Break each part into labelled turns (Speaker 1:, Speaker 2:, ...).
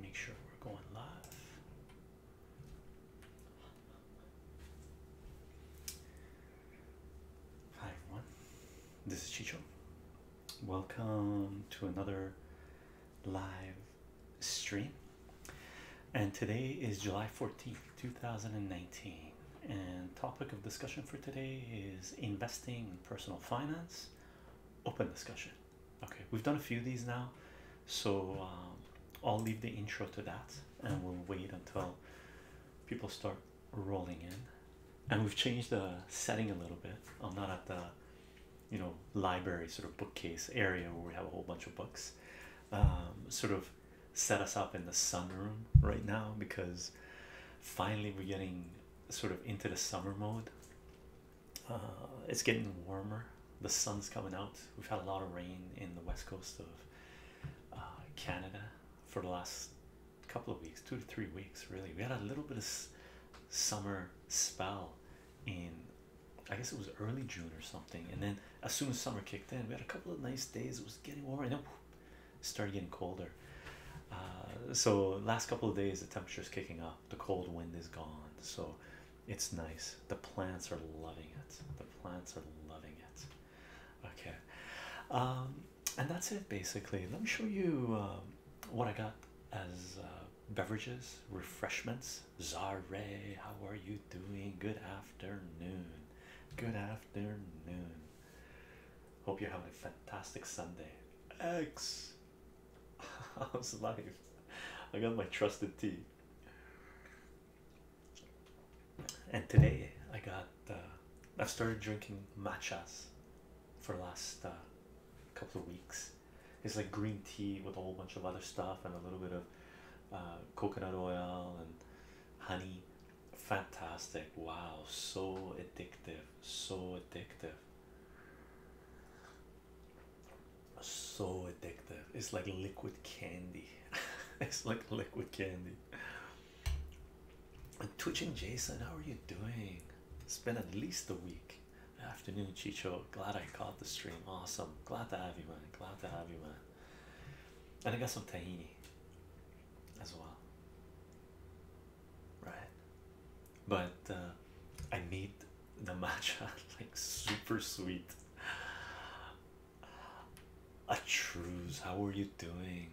Speaker 1: Make sure we're going live. Hi everyone, this is Chicho. Welcome to another live stream. And today is July 14th, 2019. And topic of discussion for today is investing in personal finance. Open discussion. Okay, we've done a few of these now, so um, I'll leave the intro to that and we'll wait until people start rolling in. And we've changed the setting a little bit. I'm not at the you know library sort of bookcase area where we have a whole bunch of books. Um, sort of set us up in the sunroom right now because finally we're getting sort of into the summer mode uh, it's getting warmer. The sun's coming out. We've had a lot of rain in the west coast of uh, Canada for the last couple of weeks, two to three weeks, really. We had a little bit of summer spell in, I guess it was early June or something. And then as soon as summer kicked in, we had a couple of nice days. It was getting warmer, and then whoop, started getting colder. Uh, so last couple of days, the temperature's kicking up the cold wind is gone, so it's nice. The plants are loving it. The plants are loving it. Okay, um, and that's it basically. Let me show you um, what I got as uh, beverages, refreshments. Zare, how are you doing? Good afternoon. Good afternoon. Hope you're having a fantastic Sunday. X I was alive. I got my trusted tea, and today I got uh, I've started drinking matchas for the last uh, couple of weeks. It's like green tea with a whole bunch of other stuff and a little bit of uh, coconut oil and honey. Fantastic! Wow, so addictive, so addictive so addictive it's like liquid candy it's like liquid candy and twitch and jason how are you doing it's been at least a week afternoon chicho glad i caught the stream awesome glad to have you man glad to have you man and i got some tahini as well right but uh, I made the matcha like super sweet. A Atruz, how are you doing?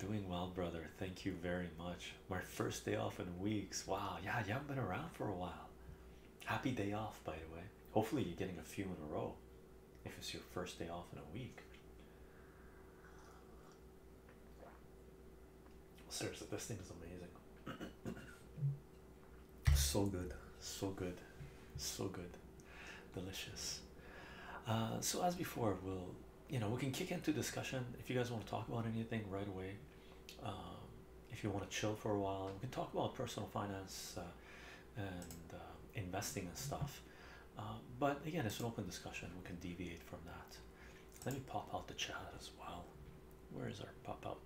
Speaker 1: Doing well, brother. Thank you very much. My first day off in weeks. Wow, yeah, you haven't been around for a while. Happy day off, by the way. Hopefully, you're getting a few in a row if it's your first day off in a week. Seriously, this thing is amazing. so good, so good, so good, delicious. Uh, so as before, we'll you know we can kick into discussion if you guys want to talk about anything right away. Um, if you want to chill for a while, we can talk about personal finance uh, and uh, investing and stuff. Uh, but again, it's an open discussion. We can deviate from that. Let me pop out the chat as well. Where is our pop out?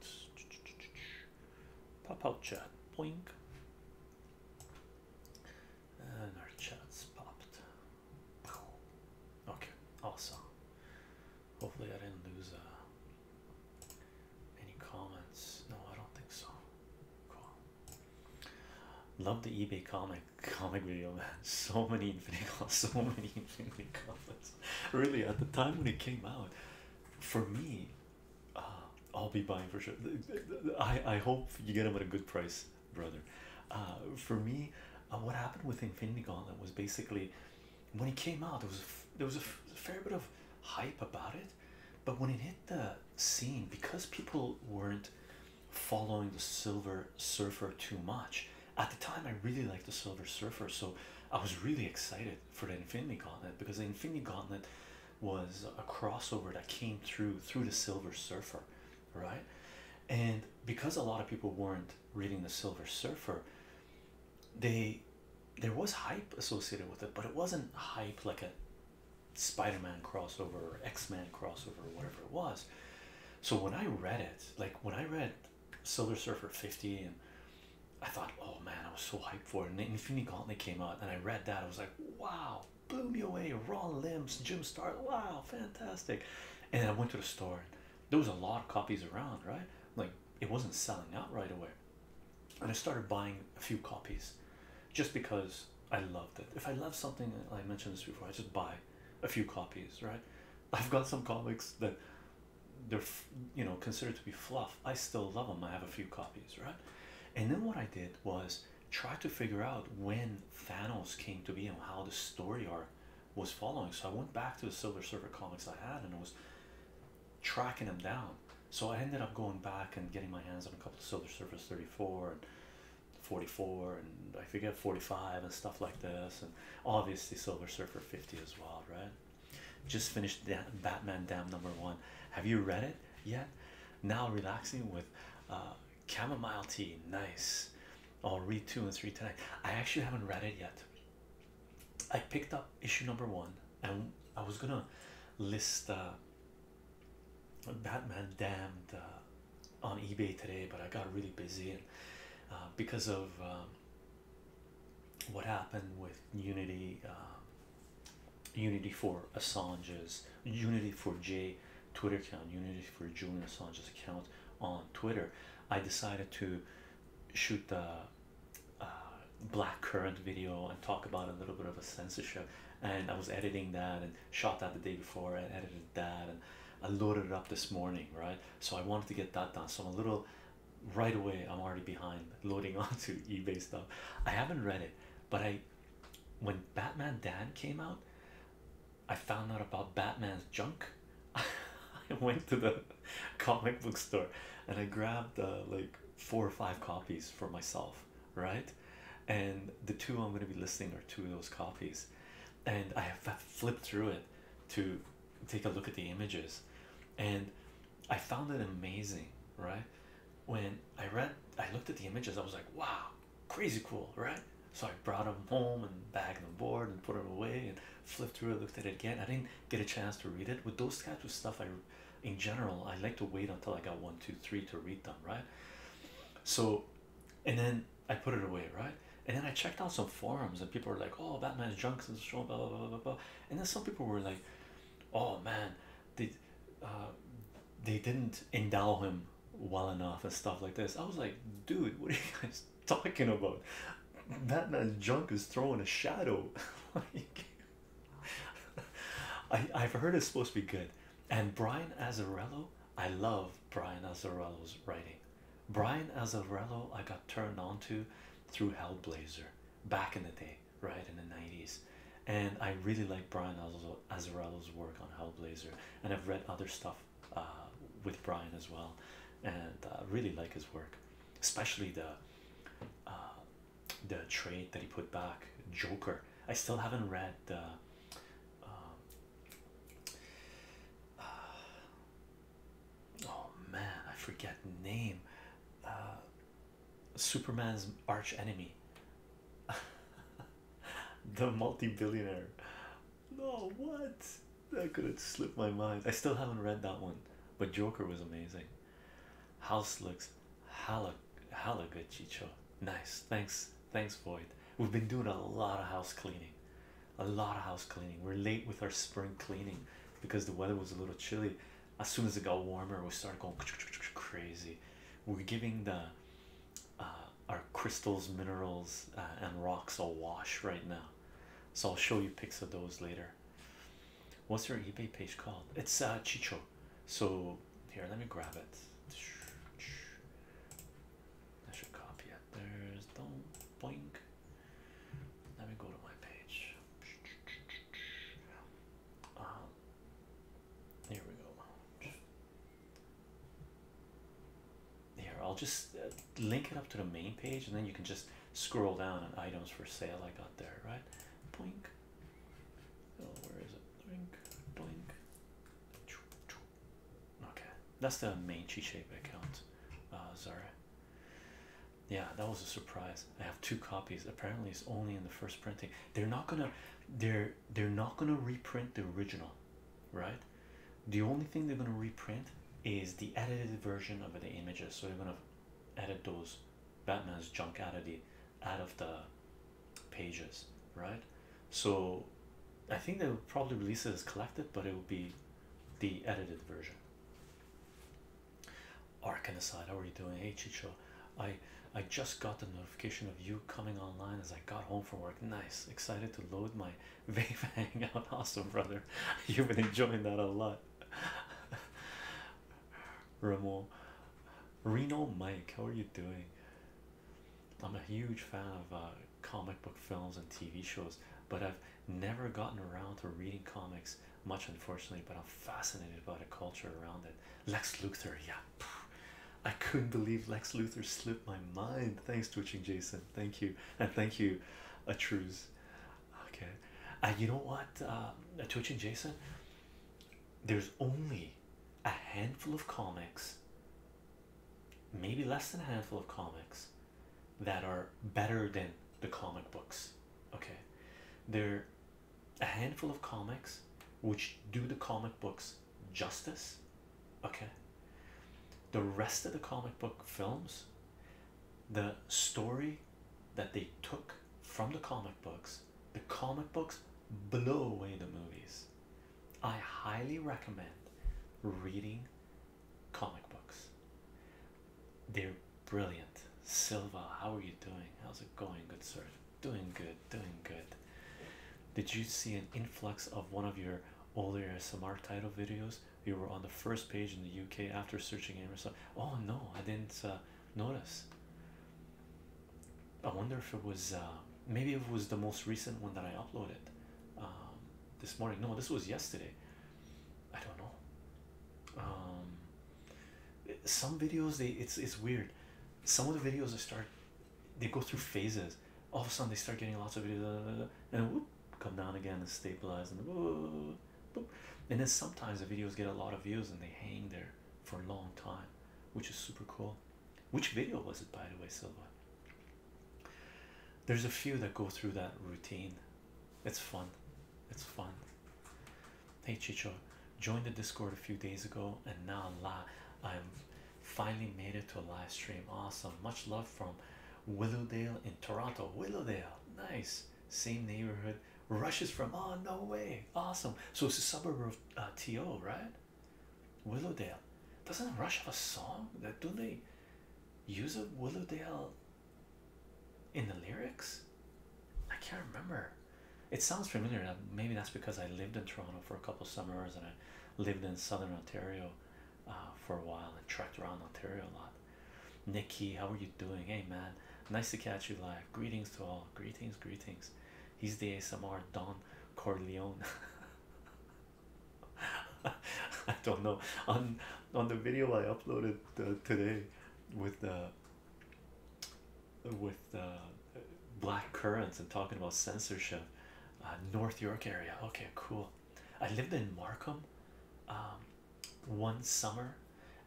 Speaker 1: Pop out chat. Boink. And our chat's popped. Okay, awesome. Hopefully, I didn't lose uh, any comments. No, I don't think so. Cool. Love the eBay comic comic video, man. So many infinity, so many infinity comments. really, at the time when it came out, for me, uh, I'll be buying for sure. I I hope you get them at a good price, brother. Uh, for me, uh, what happened with Infinity Gauntlet was basically when it came out, there was there was a fair bit of hype about it, but when it hit the scene, because people weren't following the Silver Surfer too much, at the time, I really liked the Silver Surfer, so I was really excited for the Infinity Gauntlet because the Infinity Gauntlet was a crossover that came through through the Silver Surfer, right? And because a lot of people weren't reading the Silver Surfer, they there was hype associated with it, but it wasn't hype like a Spider-Man crossover or x man crossover or whatever it was. So when I read it, like when I read Silver Surfer 50 and I thought oh man I was so hyped for it and Infinity Gauntlet came out and I read that I was like wow blew me away raw limbs Jim Star wow fantastic and I went to the store there was a lot of copies around right like it wasn't selling out right away and I started buying a few copies just because I loved it if I love something I mentioned this before I just buy a few copies right I've got some comics that they're you know considered to be fluff i still love them i have a few copies right and then what i did was try to figure out when thanos came to be and how the story arc was following so i went back to the silver surfer comics i had and i was tracking them down so i ended up going back and getting my hands on a couple of silver Surfer 34 and 44 and i forget 45 and stuff like this and obviously silver surfer 50 as well right just finished da Batman Damned number one. Have you read it yet? Now relaxing with uh, chamomile tea. Nice. I'll read two and three tonight. I actually haven't read it yet. I picked up issue number one, and I was gonna list uh, Batman Damned uh, on eBay today, but I got really busy and uh, because of um, um, what happened with Unity, uh, Unity for Assange's, Unity for J Twitter account, Unity for Julian Assange's account on Twitter, I decided to shoot the uh, black current video and talk about a little bit of a censorship. And I was editing that and shot that the day before and edited that and I loaded it up this morning, right? So I wanted to get that done. So I'm a little right away i'm already behind loading onto ebay stuff i haven't read it but i when batman dan came out i found out about batman's junk i went to the comic book store and i grabbed uh, like four or five copies for myself right and the two i'm going to be listing are two of those copies and i have flipped through it to take a look at the images and I found it amazing, right? When I read, I looked at the images, I was like, wow, crazy cool, right? So I brought them home and bagged them board and put them away and flipped through it, looked at it again. I didn't get a chance to read it. With those types of stuff, I in general, I like to wait until I got one, two, three to read them, right? So, and then I put it away, right? And then I checked out some forums and people were like, oh, Batman's junk and so on, blah, blah, blah, blah and then some people were like oh man they uh, they didn't endow him well enough and stuff like this i was like dude what are you guys talking about that junk is throwing a shadow I, i've heard it's supposed to be good and brian azarello i love brian azarello's writing brian azarello i got turned on to through hellblazer back in the day, right in the 90s. And I really like Brian Azzarello's work on Hellblazer, and I've read other stuff uh, with Brian as well, and uh, really like his work, especially the uh, the trade that he put back Joker. I still haven't read the. Um, uh, oh man i forget name uh, superman's archenemy, the multi-billionaire no what that could have slipped my mind i still haven't read that one but joker was amazing house looks hella hella good chicho nice thanks thanks void we've been doing a lot of house cleaning a lot of house cleaning we're late with our spring cleaning because the weather was a little chilly as soon as it got warmer, we started going crazy. We're giving the uh, our crystals, minerals, uh, and rocks a wash right now. So I'll show you pics of those later. What's your eBay page called? It's uh, Chicho. So here, let me grab it. I should copy it. There's don't boink. Let me go to my page. Um, here we go. Here, I'll just uh, link it up to the main page, and then you can just scroll down on items for sale. I got there, right? Blink. Oh, where is it? Blink, blink. Okay, that's the main Cheesecake account. Uh, sorry yeah that was a surprise i have two copies apparently it's only in the first printing they're not gonna they're they're not gonna reprint the original right the only thing they're gonna reprint is the edited version of the images so they're gonna edit those batman's junk out of the out of the pages right so i think they'll probably release it as collected but it will be the edited version Arcanicide, how are you doing? Hey Chicho, I I just got the notification of you coming online as I got home from work. Nice, excited to load my vape out. Awesome, brother. You've been enjoying that a lot. Remo, Reno Mike, how are you doing? I'm a huge fan of uh, comic book films and TV shows, but I've never gotten around to reading comics much, unfortunately, but I'm fascinated by the culture around it. Lex Luthor, yeah, I couldn't believe Lex Luthor slipped my mind. Thanks, Twitching Jason. Thank you, and thank you, Atruz. Okay, and you know what, uh, Twitching Jason, there's only a handful of comics, maybe less than a handful of comics, that are better than the comic books. Okay, they're a handful of comics which do the comic books justice okay the rest of the comic book films the story that they took from the comic books the comic books blow away the movies i highly recommend reading comic books they're brilliant. Silva, how are you doing? How's it going? Good, sir. Doing good, doing good. Did you see an influx of one of your older SMR title videos? You were on the first page in the UK after searching Amazon. Oh no, I didn't uh, notice. I wonder if it was uh, maybe it was the most recent one that I uploaded um, this morning. No, this was yesterday. I don't know um, some videos they it's it's weird some of the videos they start they go through phases all of a sudden they start getting lots of videos blah, blah, blah, and whoop, come down again and stabilize and whoop. and then sometimes the videos get a lot of views and they hang there for a long time which is super cool which video was it by the way Silva there's a few that go through that routine it's fun it's fun. Hey Chicho, joined the Discord a few days ago, and now I'm finally made it to a live stream. Awesome. Much love from Willowdale in Toronto. Willowdale, nice. Same neighborhood. Rushes from. Oh no way. Awesome. So it's a suburb of uh, To, right? Willowdale. Doesn't Rush have a song that do they use a Willowdale in the lyrics i can't remember it sounds familiar maybe that's because i lived in toronto for a couple summers and i lived in southern ontario uh, for a while and trekked around ontario a lot nikki how are you doing hey man nice to catch you live greetings to all greetings greetings he's the asmr don corleone i don't know on on the video i uploaded uh, today with the with uh, black currants and talking about censorship. Uh, North York area. Okay, cool. I lived in Markham um, one summer,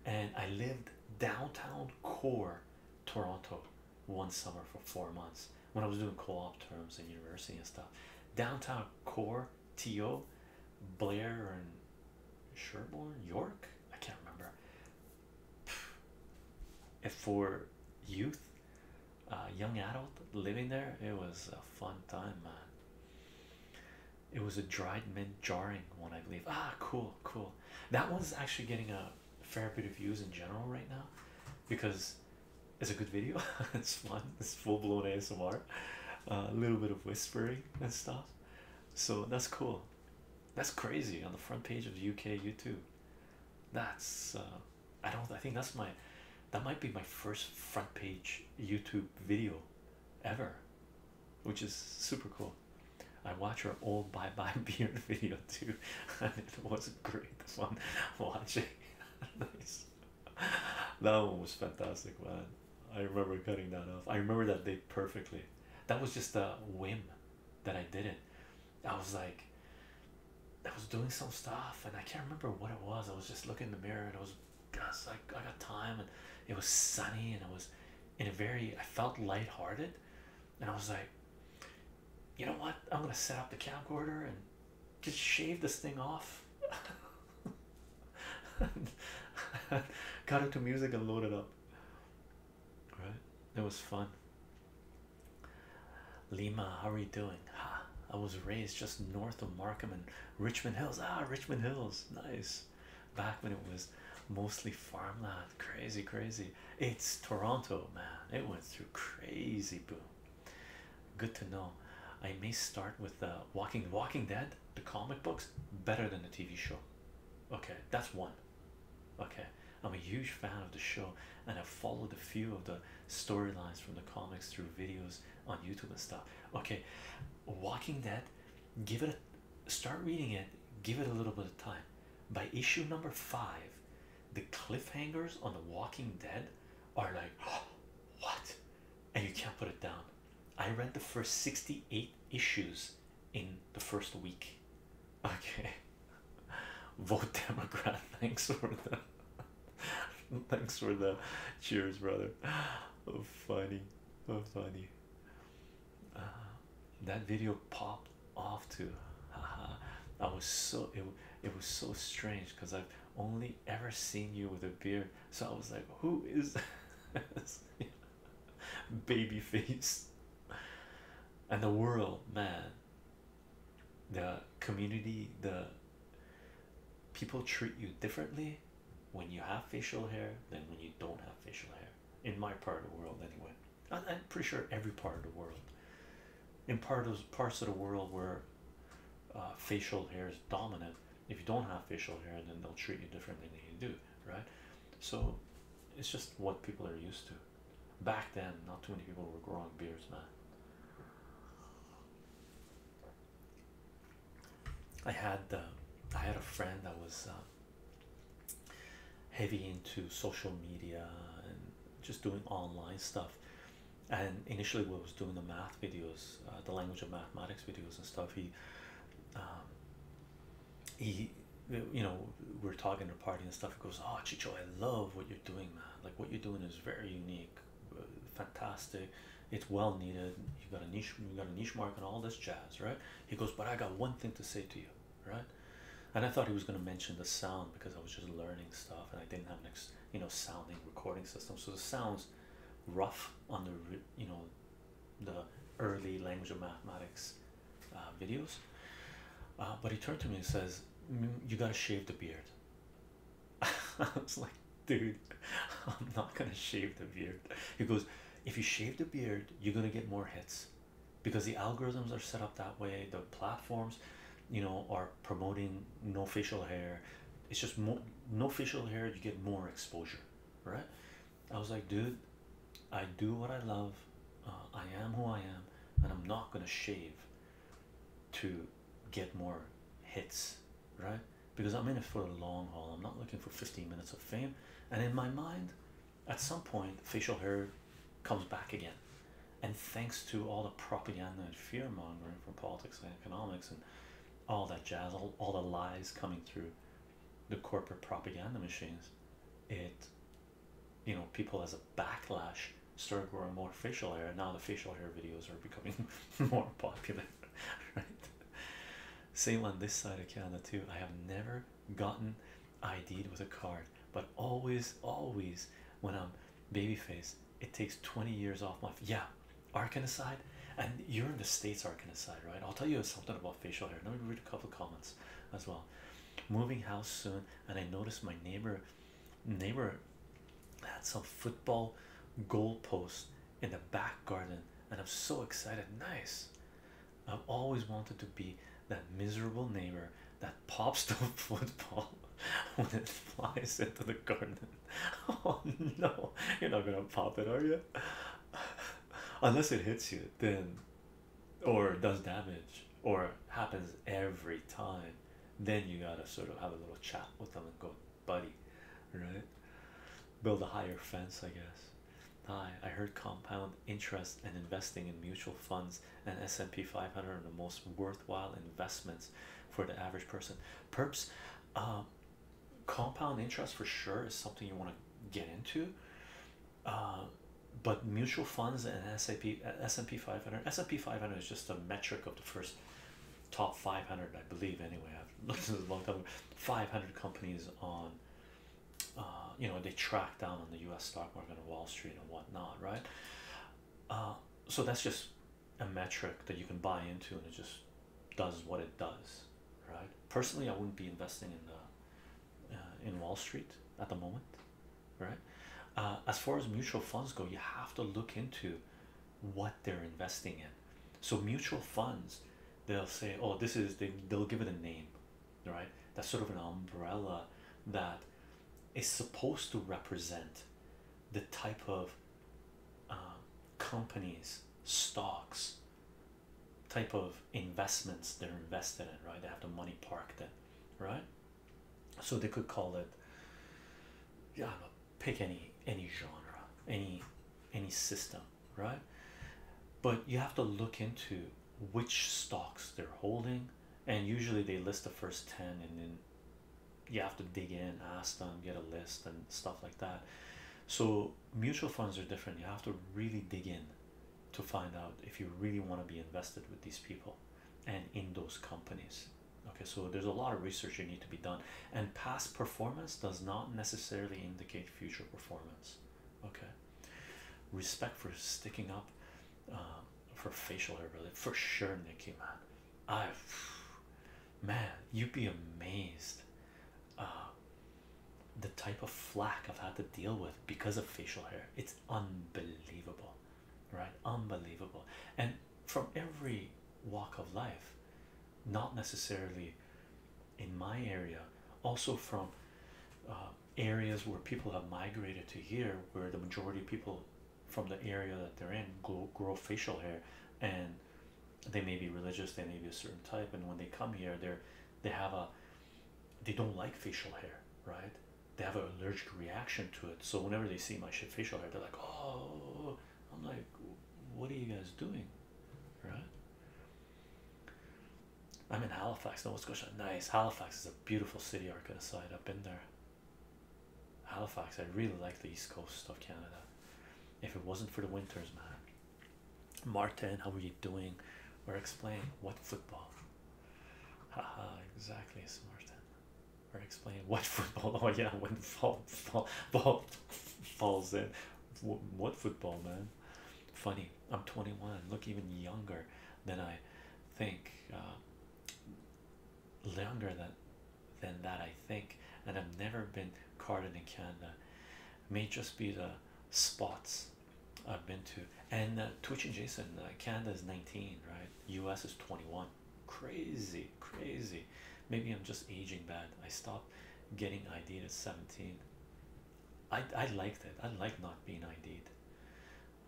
Speaker 1: and I lived downtown core Toronto one summer for four months when I was doing co-op terms in university and stuff. Downtown core to Blair and Sherborne, York. I can't remember for youth uh, young adult living there it was a fun time man it was a dried mint jarring one i believe ah cool cool that one's actually getting a fair bit of views in general right now because it's a good video it's fun it's full-blown asmr uh, a little bit of whispering and stuff so that's cool that's crazy on the front page of the UK YouTube. That's uh, I don't I think that's my that might be my first front page YouTube video ever, which is super cool. I watch our old bye bye beard video too, and it was a great fun watching. nice, that one was fantastic, man. I remember cutting that off. I remember that day perfectly that was just a whim that I did it. I was like, I was doing some stuff and I can't remember what it was. I was just looking in the mirror and I was just like, I got time and it was sunny and it was in a very, I felt light-hearted, and I was like, you know what? I'm gonna set up the camcorder and just shave this thing off. Cut it to music and load it up right it was fun lima how are you doing i was raised just north of markham and richmond hills ah richmond hills nice back when it was mostly farmland crazy crazy it's toronto man it went through crazy boom good to know i may start with the uh, walking walking dead the comic books better than the tv show okay that's one Okay, I'm a huge fan of the show and I followed a few of the storylines from the comics through videos on YouTube and stuff. Okay, Walking Dead, give it a start reading it, give it a little bit of time. By issue number five, the cliffhangers on The Walking Dead are like, what? And you can't put it down. I read the first 68 issues in the first week. Okay, vote Democrat. Thanks for that. thanks for that. cheers, brother. Oh, funny, oh, funny. Uh, that video popped off too. I was so it, it was so strange because I've only ever seen you with a beard, so I was like, Who is baby face and the world man the community the people treat you differently when you have facial hair than when you don't have facial hair in my part of the world anyway i pretty sure every part of the world in part of parts of the world where uh, facial hair is dominant if you don't have facial hair then they'll treat you differently than you do right? So it's just what people are used to. Back then, not too many people were growing beards, man. I had uh, I had a friend that was uh, heavy into social media and just doing online stuff. And initially, we was doing the math videos, uh, the language of mathematics videos and stuff. He um, he you know we're talking the party and stuff he goes oh chicho i love what you're doing man like what you're doing is very unique uh, fantastic it's well needed you got a niche you got a niche mark and all this jazz right he goes but i got one thing to say to you right and i thought he was going to mention the sound because i was just learning stuff and i didn't have next you know sounding recording system so the sounds rough on the you know the early language of mathematics uh, videos uh, but he turned to me and says you gotta shave the beard I was like dude I'm not gonna shave the beard he goes if you shave the beard you're gonna get more hits because the algorithms are set up that way the platforms you know are promoting no facial hair it's just more no facial hair you get more exposure right I was like, dude, I do what I love, uh, I am who I am, and I'm not gonna shave to get more hits, right? Because I'm in it for the long haul, I'm not looking for 15 minutes of fame. And in my mind, at some point, facial hair comes back again. And thanks to all the propaganda and fear mongering from politics and economics and all that jazz, all the lies coming through the corporate propaganda machines, it you know people as a backlash started growing more facial hair and now the facial hair videos are becoming more popular right same on this side of canada too i have never gotten id with a card but always always when i'm baby face, it takes 20 years off my yeah aside, and you're in the states aside, right i'll tell you something about facial hair let me read a couple of comments as well moving house soon and i noticed my neighbor neighbor had some football goal posts in the back garden and i'm so excited nice i've always wanted to be that miserable neighbor that pops the football when it flies into the garden oh no you're not gonna pop it are you unless it hits you then or does damage or happens every time, then you gotta sort of have a little chat with them and go, buddy, right? Build a higher fence, I guess. Hi, I heard compound interest and investing in mutual funds and S&P 500 are the most worthwhile investments for the average person. Perps, um, compound interest for sure is something you want to get into uh, but mutual funds and SAP S&P 500 S&P 500 is just a metric of the first top 500 I believe anyway I've looked at this a long time 500 companies on uh, you know they track down on the US stock market and Wall Street and whatnot right uh, so that's just a metric that you can buy into and it just does what it does right personally I wouldn't be investing in the uh, in Wall Street at the moment, right? Uh, as far as mutual funds go, you have to look into what they're investing in. So mutual funds, they'll say, "Oh, this is," they, they'll give it a name, right? That's sort of an umbrella that is supposed to represent the type of uh, companies, stocks, type of investments they're invested in, right? They have the money parked in right? So they could call it yeah, pick any any genre, any any system, right? But you have to look into which stocks they're holding, and usually they list the first 10 and then you have to dig in, ask them, get a list, and stuff like that. So mutual funds are different. You have to really dig in to find out if you really want to be invested with these people and in those companies okay so there's a lot of research you need to be done and past performance does not necessarily indicate future performance okay respect for sticking up um, for facial hair really for sure nikki man i man you'd be amazed uh, the type of flack i've had to deal with because of facial hair it's unbelievable right unbelievable and from every walk of life not necessarily in my area also from uh, areas where people have migrated to here where the majority of people from the area that they're in grow facial hair and they may be religious they may be a certain type and when they come here they're they have a they don't like facial hair right they have an allergic reaction to it. So whenever they see my facial hair, they're like, "Oh," I'm like, "What are you guys doing?" Right? I'm in Halifax, No, Nova Scotia. Nice. Halifax is a beautiful city. I'm Arcana side. I've been there. Halifax. I really like the east coast of Canada. If it wasn't for the winters, man. Martin, how are you doing? Or explain what football? Haha, exactly, Smartin. Or explain what football? Oh, yeah, when fall, fall, ball falls in. What football, man? Funny, I'm 21, look even younger than I think. Uh, younger than, than that, I think. And I've never been carded in Canada. May just be the spots I've been to, and uh, Twitch and Jason, uh, Canada is 19, right? US is 21. Crazy, crazy. Maybe I'm just aging bad. I stopped getting id at 17. I, I liked it. I like not being ID'd.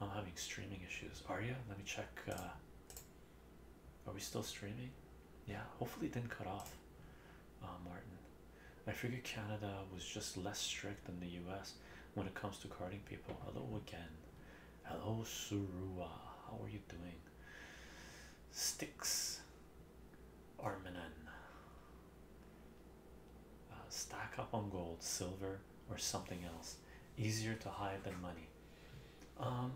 Speaker 1: I'm having streaming issues. Are you? Let me check. Uh, are we still streaming? Yeah, hopefully it didn't cut off. Uh, Martin, I figured Canada was just less strict than the US when it comes to carding people. Hello again. Hello, Surua. How are you doing? Sticks Arminan. Uh, stack up on gold, silver, or something else. Easier to hide than money. Um,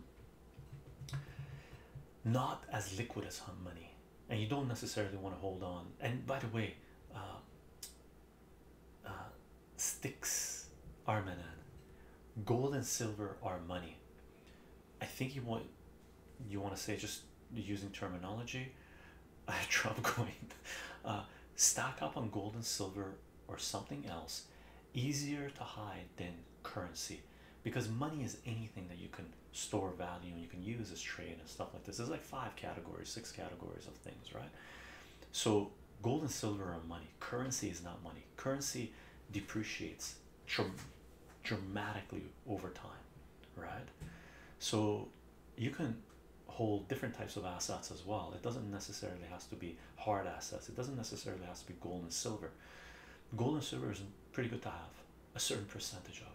Speaker 1: not as liquid as money, and you don't necessarily want to hold on. And by the way, uh, uh, sticks are manan gold and silver are money i think you want you want to say just using terminology a have coin. going uh, stack up on gold and silver or something else easier to hide than currency because money is anything that you can store value and you can use as trade and stuff like this there's like five categories six categories of things right so gold and silver are money. Currency is not money. Currency depreciates dr dramatically over time, right? So you can hold different types of assets as well. It doesn't necessarily has to be hard assets. It doesn't necessarily has to be gold and silver. Gold and silver is pretty good to have a certain percentage of.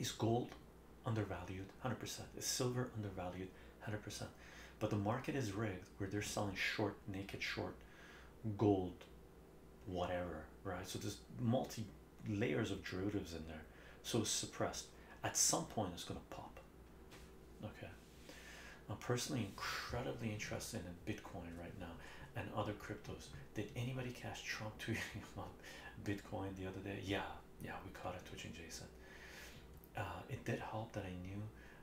Speaker 1: Is gold undervalued 100% is silver undervalued 100% but the market is rigged where they're selling short naked short gold whatever right so there's multi layers of derivatives in there so it's suppressed at some point it's going to pop okay i'm personally incredibly interested in bitcoin right now and other cryptos did anybody catch trump tweeting about bitcoin the other day yeah yeah we caught it twitching jason uh, it did help that I knew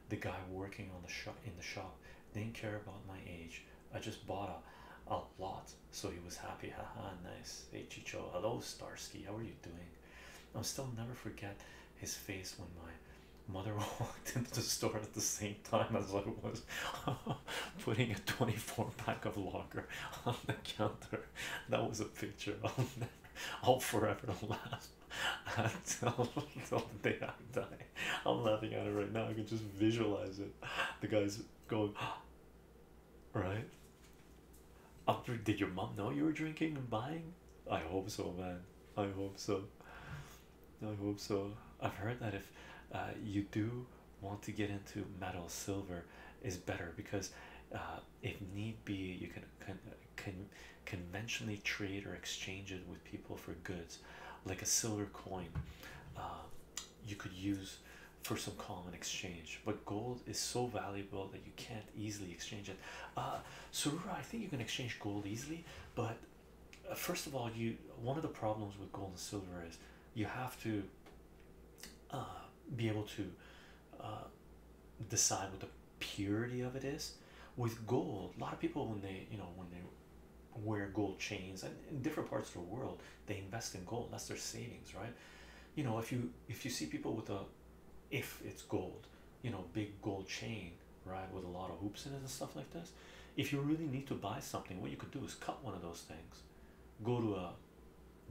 Speaker 1: the guy working on the shop in the shop didn't care about my age. I just bought a, a lot, so he was happy. Haha, nice. Hey Chicho, hello Starsky, how are you doing? I'll still never forget his face when my mother walked into the store at the same time as I was putting a 24 pack of lager on the counter. That was a picture. of. will I'll forever laugh until, until the day I die. I'm laughing at it right now. I can just visualize it. The guy's going, right? Up, did your mom know you were drinking and buying? I hope so, man. I hope so. I hope so. I've heard that if uh, you do want to get into metal, silver is better because uh, if need be, you can con con conventionally trade or exchange it with people for goods, like a silver coin. Uh, you could use for some common exchange, but gold is so valuable that you can't easily exchange it. Uh, so I think you can exchange gold easily, but uh, first of all, you one of the problems with gold and silver is you have to uh, be able to uh, decide what the purity of it is. With gold, a lot of people when they you know when they wear gold chains and in different parts of the world they invest in gold. That's their savings, right? You know if you if you see people with a if it's gold, you know big gold chain, right, with a lot of hoops in it and stuff like this. If you really need to buy something, what you could do is cut one of those things, go to a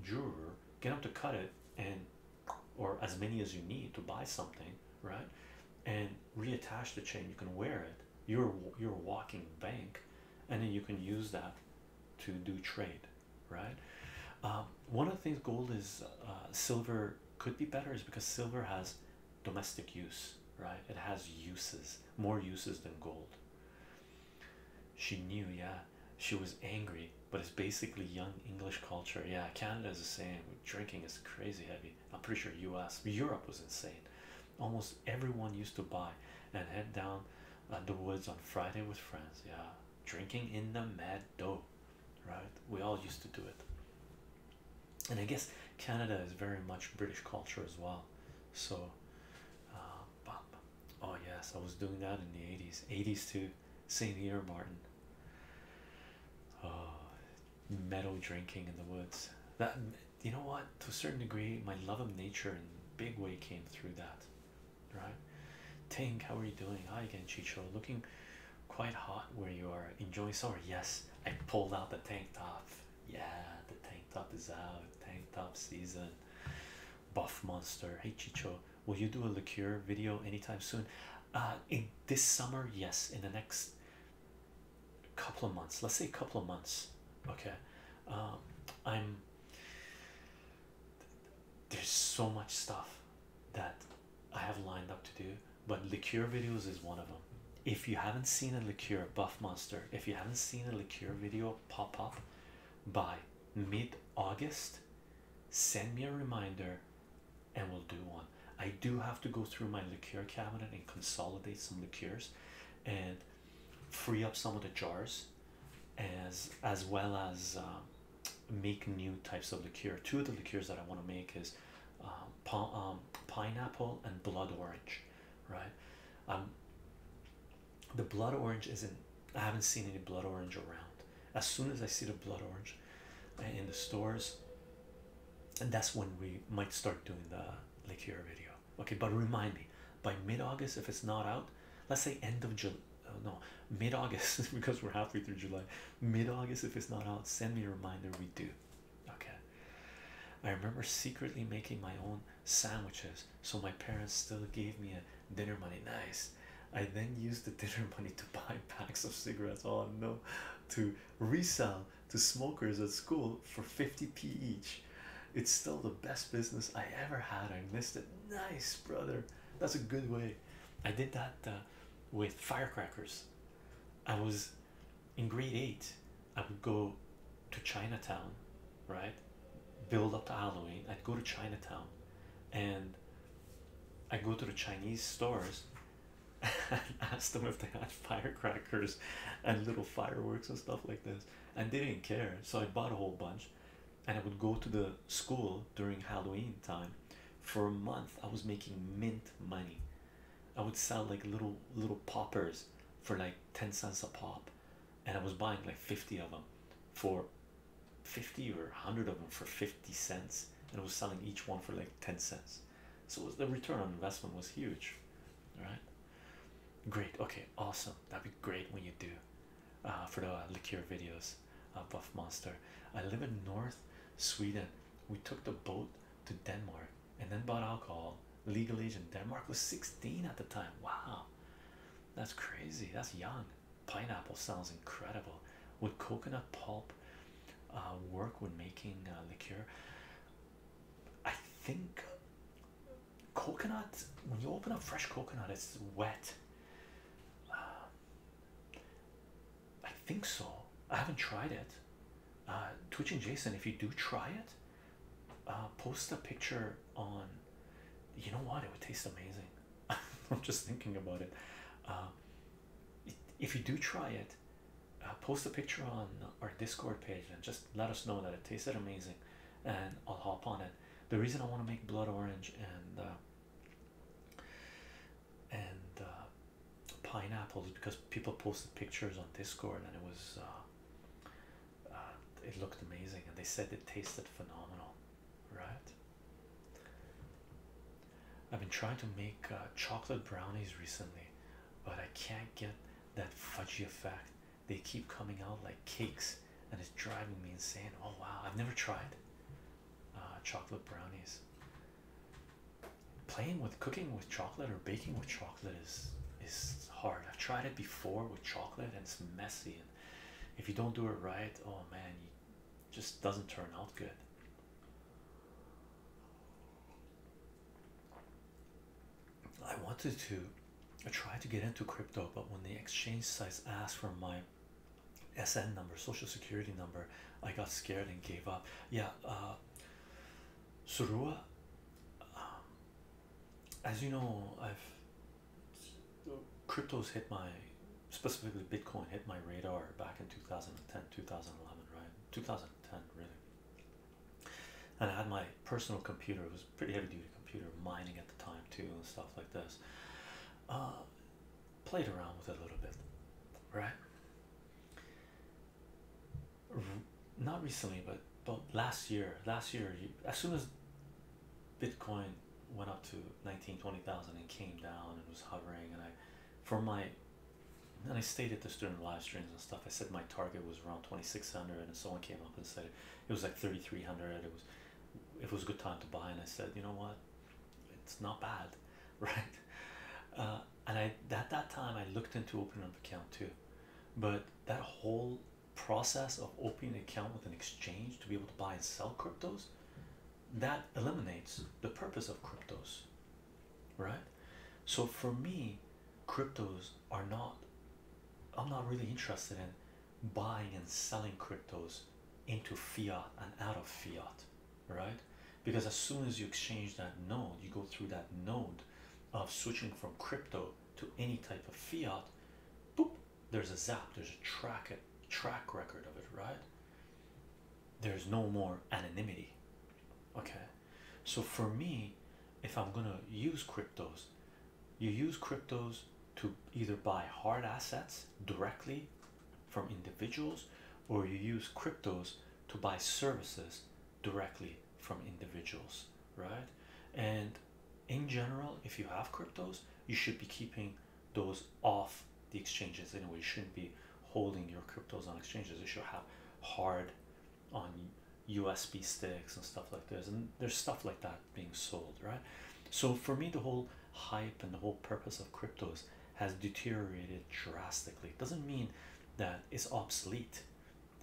Speaker 1: jeweler, get them to cut it, and or as many as you need to buy something, right? And reattach the chain. You can wear it. You're you're walking bank, and then you can use that to do trade, right? Um, one of the things gold is uh, silver could be better is because silver has domestic use, right? It has uses, more uses than gold. She knew, yeah. She was angry but it's basically young English culture. Yeah, Canada is the same. Drinking is crazy heavy. I'm pretty sure U.S. Europe was insane. Almost everyone used to buy and head down uh, the woods on Friday with friends. Yeah, drinking in the mad dough, right? We all used to do it. And I guess Canada is very much British culture as well. So, uh, oh yes, I was doing that in the 80s. 80s too. Same year, Martin. Oh, meadow drinking in the woods. That you know what? To a certain degree, my love of nature in big way came through that. Right? Tank, how are you doing? Hi again, Chicho. Looking quite hot where you are. Enjoying summer. Yes, I pulled out the tank top. Yeah, the tank top is out. Tank top season. Buff monster. Hey, Chicho, will you do a liqueur video anytime soon? uh, in this summer, yes, in the next couple of months, let's say a couple of months, okay. Um, I'm there's so much stuff that I have lined up to do, but liqueur videos is one of them. If you haven't seen a liqueur buff monster, if you haven't seen a liqueur video pop up by mid August, send me a reminder and we'll do one. I do have to go through my liqueur cabinet and consolidate some liqueurs and free up some of the jars as as well as um, make new types of liqueur. Two of the liqueurs that I want to make is um, um, pineapple and blood orange, right? Um, the blood orange isn't. I haven't seen any blood orange around as soon as I see the blood orange uh, in the stores, and that's when we might start doing the liqueur video. Okay, but remind me by mid August if it's not out, let's say end of July. Uh, no, mid August because we're halfway through July. Mid August, if it's not out, send me a reminder. We do okay. I remember secretly making my own sandwiches, so my parents still gave me a dinner money. Nice, I then used the dinner money to buy packs of cigarettes. Oh no, to resell to smokers at school for 50p each. It's still the best business I ever had. I missed it. Nice, brother. That's a good way. I did that uh, with firecrackers. I was in grade eight. I would go to Chinatown, right? Build up to Halloween. I'd go to Chinatown and I'd go to the Chinese stores and asked them if they had firecrackers and little fireworks and stuff like this and they didn't care so i bought a whole bunch and i would go to the school during halloween time for a month i was making mint money i would sell like little little poppers for like 10 cents a pop and i was buying like 50 of them for 50 or 100 of them for 50 cents and was selling each one for like 10 cents. So the return on investment was huge, right? Great, okay, awesome. That'd be great when you do uh, for the liquor videos. Uh, Buff Monster. I live in North Sweden. We took the boat to Denmark and then bought alcohol. Legal age in Denmark was 16 at the time. Wow, that's crazy. That's young. Pineapple sounds incredible. With coconut pulp uh, work when making uh, liqueur. I think coconut, when you open up fresh coconut, it's wet. Uh, I think so. I haven't tried it. Uh, Twitch and Jason, if you do try it, uh, post a picture on. You know what? It would taste amazing. I'm just thinking about it. Uh, if you do try it, uh, post a picture on our Discord page and just let us know that it tasted amazing, and I'll hop on it. The reason I want to make blood orange and uh, and uh, pineapples because people posted pictures on Discord and it was uh, it looked amazing and they said it tasted phenomenal, right? I've been trying to make uh, chocolate brownies recently, but I can't get that fudgy effect. They keep coming out like cakes, and it's driving me insane. Oh wow, I've never tried uh, chocolate brownies. Playing with cooking with chocolate or baking with chocolate is is hard. I've tried it before with chocolate, and it's messy. And if you don't do it right, oh man, you just doesn't turn out good. I wanted to I tried to get into crypto, but when the exchange sites asked for my SN number, social security number, I got scared and gave up. Yeah, uh, Surua, um, as you know, I've cryptos hit my specifically Bitcoin hit my radar back in 2010 2011 right 2010 really and I had my personal computer it was pretty heavy duty computer mining at the time too and stuff like this uh, played around with it a little bit right not recently but but last year last year as soon as Bitcoin went up to 19 20,000 and came down and was hovering and I for my and I stayed at the student live streams and stuff. I said my target was around 2600 and someone came up and said it was like 3300 it was it was a good time to buy and I said you know what it's not bad right uh, and I at that time I looked into opening up account too but that whole process of opening an account with an exchange to be able to buy and sell cryptos that eliminates the purpose of cryptos, right? So for me, cryptos are not, I'm not really interested in buying and selling cryptos into fiat and out of fiat, right? Because as soon as you exchange that node, you go through that node of switching from crypto to any type of fiat, boop, there's a zap, there's a track, a track record of it, right? there's no more anonymity okay so for me if i'm going to use cryptos you use cryptos to either buy hard assets directly from individuals or you use cryptos to buy services directly from individuals right and in general if you have cryptos you should be keeping those off the exchanges anyway. shouldn't be holding your cryptos on exchanges. They should have hard on USB sticks and stuff like this. And there's stuff like that being sold, right? So for me, the whole hype and the whole purpose of cryptos has deteriorated drastically. It doesn't mean that it's obsolete.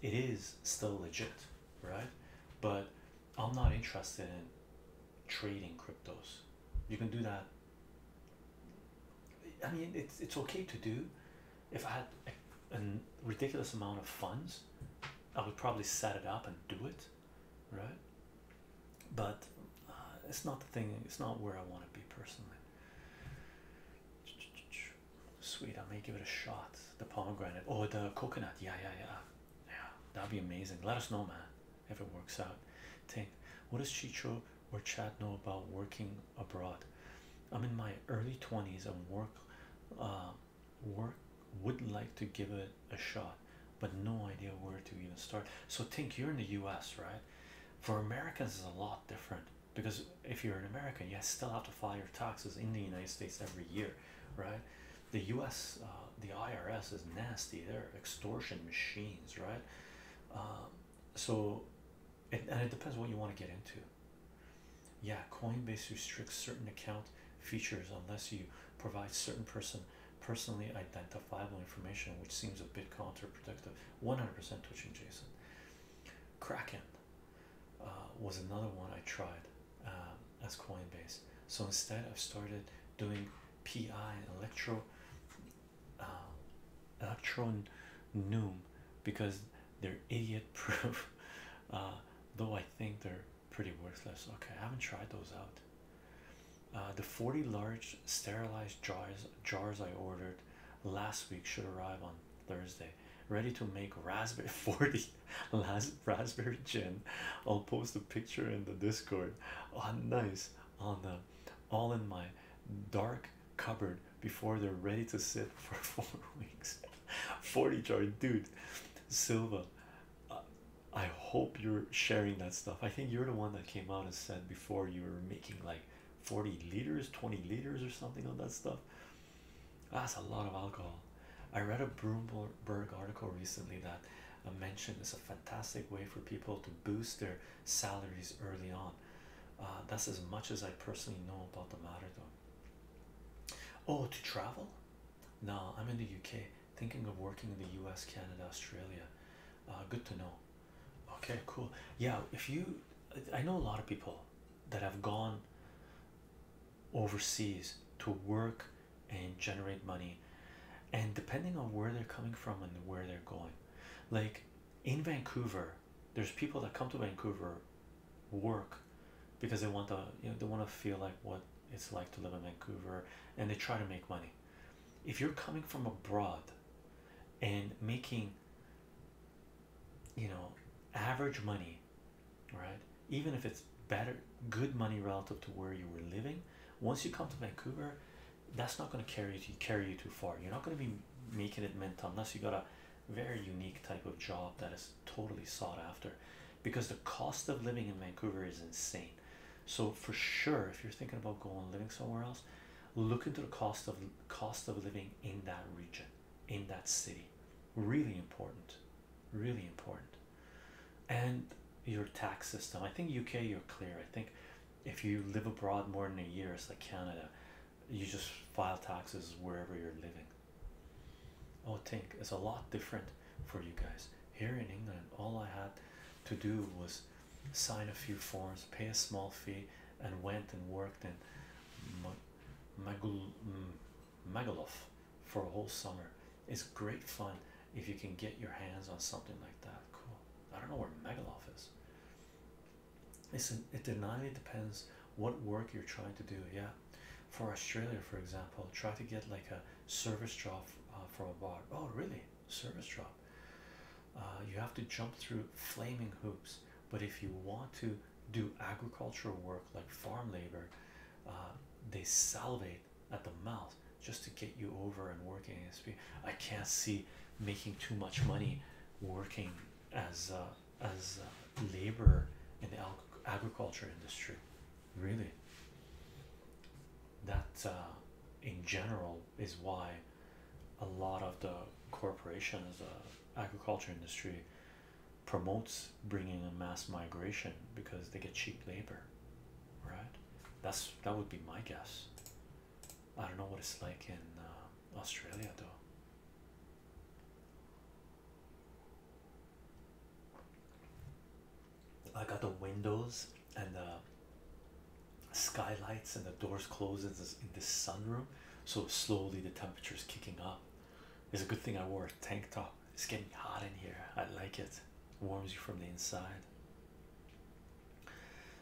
Speaker 1: It is still legit, right? But I'm not interested in trading cryptos. You can do that I mean, it's it's okay to do. If I had a, ridiculous amount of funds, I would probably set it up and do it, right? But uh, it's not the thing. It's not where I want to be personally. Sweet, I may give it a shot. The pomegranate or the coconut. Yeah, yeah, yeah, yeah. That'd be amazing. Let us know, man, if it works out. Tank, what is Chicho or chat know about working abroad. I'm in my early 20s and work uh, work would like to give it a shot but no idea where to even start. So think you're in the US, right? For Americans it's a lot different because if you're an American you still have to file your taxes in the United States every year, right? The US uh, the IRS is nasty. They're extortion machines, right? Um, so it, and it depends what you want to get into. Yeah, Coinbase restricts certain account features unless you provide certain person personally identifiable information, which seems a bit counterproductive. 100% twitching, Jason. Kraken uh, was another one I tried um, as Coinbase. So instead, I've started doing PI and electro uh, electron noom because they're idiot proof uh, though I think they're pretty worthless okay I haven't tried those out uh, the 40 large sterilized jars jars I ordered last week should arrive on Thursday ready to make raspberry 40 last raspberry gin I'll post a picture in the discord oh nice on the all in my dark cupboard before they're ready to sit for four weeks. 40 jar, dude. Silva, I hope you're sharing that stuff. I think you're the one that came out and said before you were making like 40 liters, 20 liters, or something of that stuff. That's a lot of alcohol. I read a Broomberg article recently that uh, mentioned it's a fantastic way for people to boost their salaries early on. Uh, that's as much as I personally know about the matter, though. Oh, to travel? No, I'm in the UK, thinking of working in the US, Canada, Australia. Uh, good to know. Okay, cool. Yeah, if you, I know a lot of people that have gone overseas to work and generate money, and depending on where they're coming from and where they're going, like in Vancouver, there's people that come to Vancouver, work, because they want to you know they want to feel like what it's like to live in Vancouver, and they try to make money. If you're coming from abroad, and making you know average money, right? Even if it's better, good money relative to where you were living, once you come to Vancouver, that's not going to carry you to carry you too far. You're not going to be making it mental unless you got a very unique type of job that is totally sought after because the cost of living in Vancouver is insane. So for sure, if you're thinking about going living somewhere else, look into the cost of cost of living in that region, in that city. Really important, really important. And your tax system. I think UK you're clear. I think if you live abroad more than a year, it's like Canada you just file taxes wherever you're living. Oh, think it's a lot different for you guys here in England. All I had to do was sign a few forms, pay a small fee, and went and worked in mm, Magaluf for a whole summer. It's great fun if you can get your hands on something like that. Cool. I don't know where Magaluf is it's an, it depends what work you're trying to do yeah for australia for example try to get like a service job uh, from a bar oh really service job uh, you have to jump through flaming hoops but if you want to do agricultural work like farm labor uh, they salivate at the mouth just to get you over and working i can't see making too much money working as uh, as uh, labor in the agriculture industry really that uh, in general is why a lot of the corporations the agriculture industry promotes bringing in mass migration because they get cheap labor right that's that would be my guess I don't know what it's like in uh, Australia though. I got the windows and the skylights and the doors closed in this, in this sunroom, so slowly the temperature is kicking up. It's a good thing I wore a tank top. It's getting hot in here. I like it. Warms you from the inside.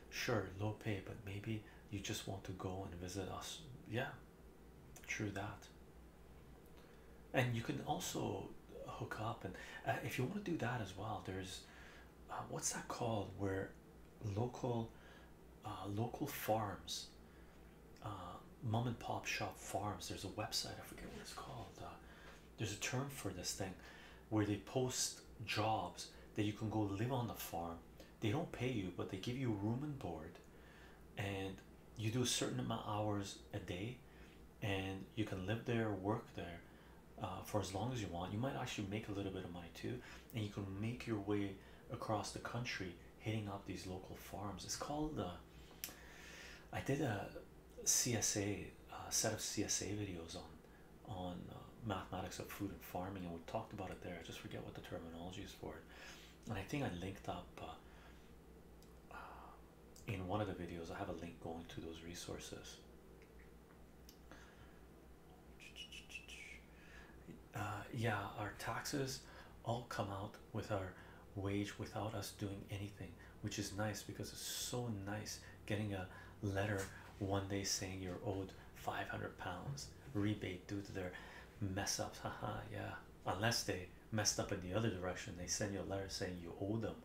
Speaker 1: Sure, low pay, but maybe you just want to go and visit us yeah true that and you can also hook up and uh, if you want to do that as well there's uh, what's that called where local uh, local farms mom and pop shop farms there's a website i forget what it's called there's a term for this thing where they post jobs that you can go live on the farm they don't pay you but they give you room and board and you do a certain amount of hours a day and you can live there work there uh, for as long as you want you might actually make a little bit of money too and you can make your way across the country hitting up these local farms it's called uh, I did a CSA a uh, set of CSA videos on on uh, mathematics of food and farming, and we talked about it there. I just forget what the terminology is for it. And I think I linked up uh, uh, in one of the videos. I have a link going to those resources. Uh, yeah, our taxes all come out with our wage without us doing anything, which is nice because it's so nice getting a letter one day saying you're owed 500 pounds rebate due to their mess ups haha yeah unless they messed up in the other direction they send you a letter saying you owe them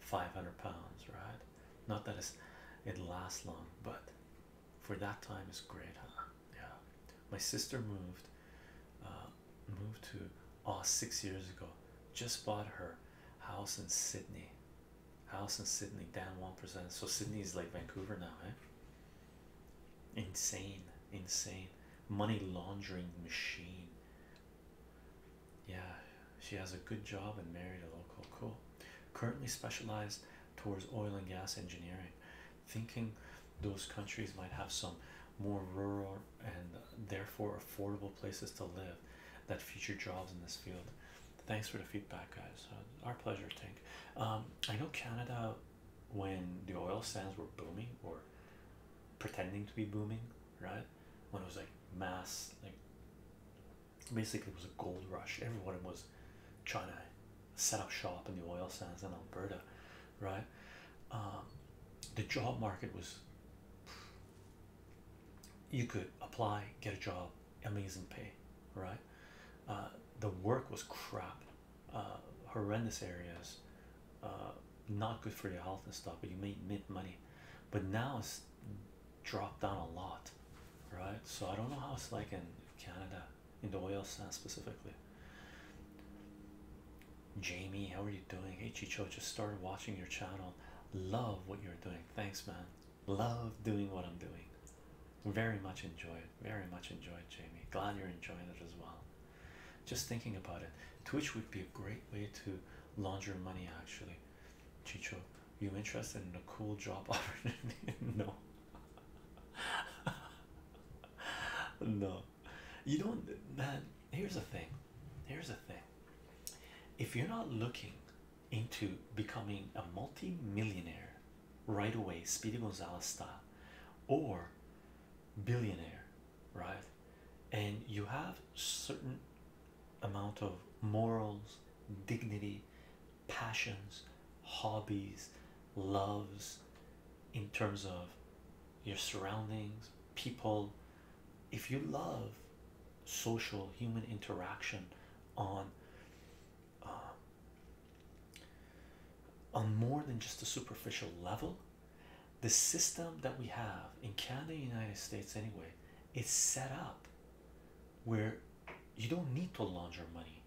Speaker 1: 500 pounds right not that it's it lasts long but for that time it's great huh yeah my sister moved uh, moved to oh six years ago just bought her house in Sydney house in Sydney down one percent so Sydney is like Vancouver now eh Insane, insane money laundering machine. Yeah, she has a good job and married a local. Cool. Currently specialized towards oil and gas engineering. Thinking those countries might have some more rural and therefore affordable places to live that feature jobs in this field. Thanks for the feedback, guys. Uh, our pleasure, Thank. Um, I know Canada when the oil sands were booming or pretending to be booming, right? When it was like mass, like basically it was a gold rush. Everyone was trying to set up shop in the oil sands in Alberta, right? Um, the job market was you could apply, get a job, amazing pay, right? Uh, the work was crap, uh, horrendous areas, uh, not good for your health and stuff. But you made make money, but now it's dropped down a lot, right? So I don't know how it's like in Canada, in the oil sands specifically. Jamie, how are you doing? Hey, Chicho, just started watching your channel. Love what you're doing. Thanks, man. Love doing what I'm doing. Very much enjoy very much enjoyed jamie glad you're enjoying it as well just thinking about it twitch would be a great way to launder money actually chicho you interested in a cool job opportunity no no you don't man here's the thing here's the thing if you're not looking into becoming a multi-millionaire right away, Speedy Gonzalez style, or billionaire, right? And you have certain amount of morals, dignity, passions, hobbies, loves in terms of your surroundings, people. If you love social human interaction on um, on more than just a superficial level the system that we have in canada united states anyway is set up where you don't need to launder money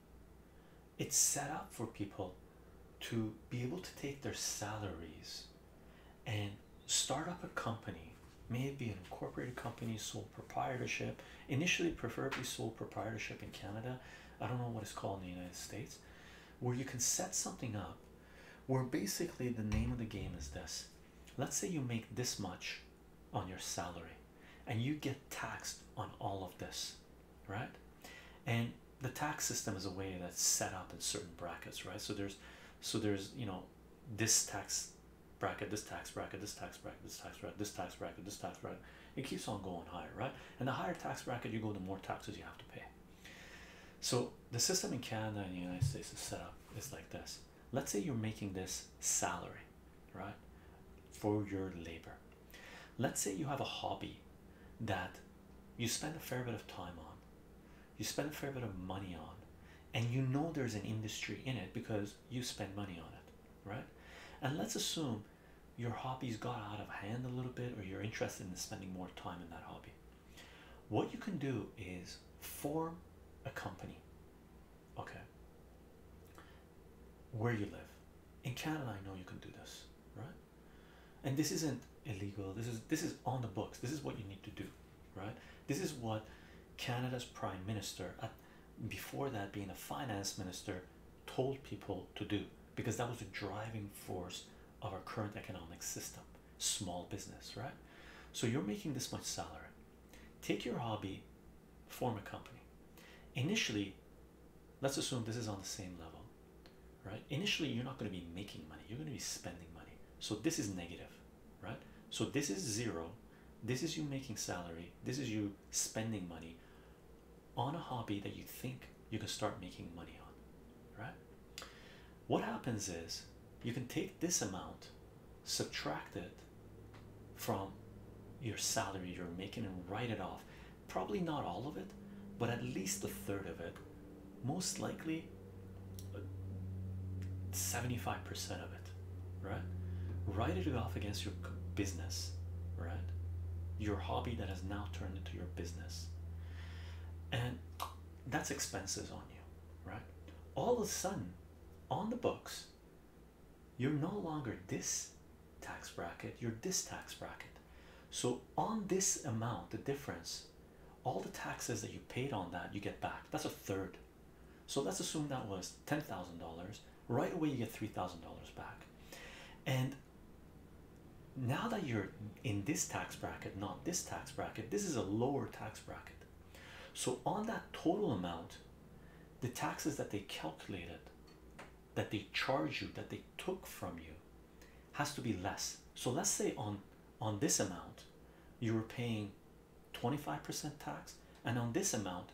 Speaker 1: it's set up for people to be able to take their salaries and start up a company maybe an incorporated company sole proprietorship initially preferably sole proprietorship in canada I don't know what it's called in the United States, where you can set something up where basically the name of the game is this. Let's say you make this much on your salary and you get taxed on all of this, right? And the tax system is a way that's set up in certain brackets, right? So there's so there's you know this tax bracket, this tax bracket, this tax bracket, this tax bracket, this tax bracket, this tax bracket, it keeps on going higher, right? And the higher tax bracket you go, the more taxes you have to pay. So the system in Canada and the United States is set up is like this. Let's say you're making this salary, right? For your labor. Let's say you have a hobby that you spend a fair bit of time on, you spend a fair bit of money on, and you know there's an industry in it because you spend money on it, right? And let's assume your hobbies got out of hand a little bit or you're interested in spending more time in that hobby what you can do is form a company okay where you live in canada i know you can do this right and this isn't illegal this is this is on the books this is what you need to do right this is what canada's prime minister uh, before that being a finance minister told people to do because that was the driving force of our current economic system small business right so you're making this much salary take your hobby form a company initially let's assume this is on the same level right initially you're not going to be making money you're going to be spending money so this is negative right so this is zero this is you making salary this is you spending money on a hobby that you think you can start making money on, right? What happens is you can take this amount, subtract it from your salary you're making, and write it off. Probably not all of it, but at least a third of it, most likely 75% of it, right? Write it off against your business, right? Your hobby that has now turned turned into your business and that's expenses on you right all of a sudden on the books you're no longer this tax bracket you're this tax bracket so on this amount the difference all the taxes that you paid on that you get back that's a third so let's assume that was ten thousand dollars right away you get three thousand dollars back and now that you're in this tax bracket, not this tax bracket, this is a lower tax bracket. So, on that total amount, the taxes that they calculated, that they charge you, that they took from you, has to be less. So, let's say on on this amount, you were paying 25% tax, and on this amount,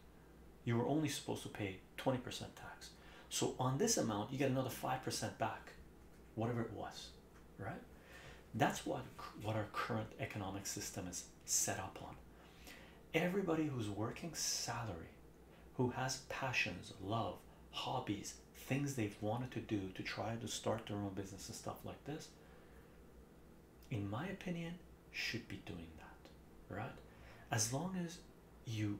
Speaker 1: you were only supposed to pay 20% tax. So on this amount, you get another 5% back, whatever it was, right? That's what what our current economic system is set up on. Everybody who's working salary, who has passions, love, hobbies, things they've wanted to do to try to start their own business and stuff like this, in my opinion, should be doing that, right? As long as you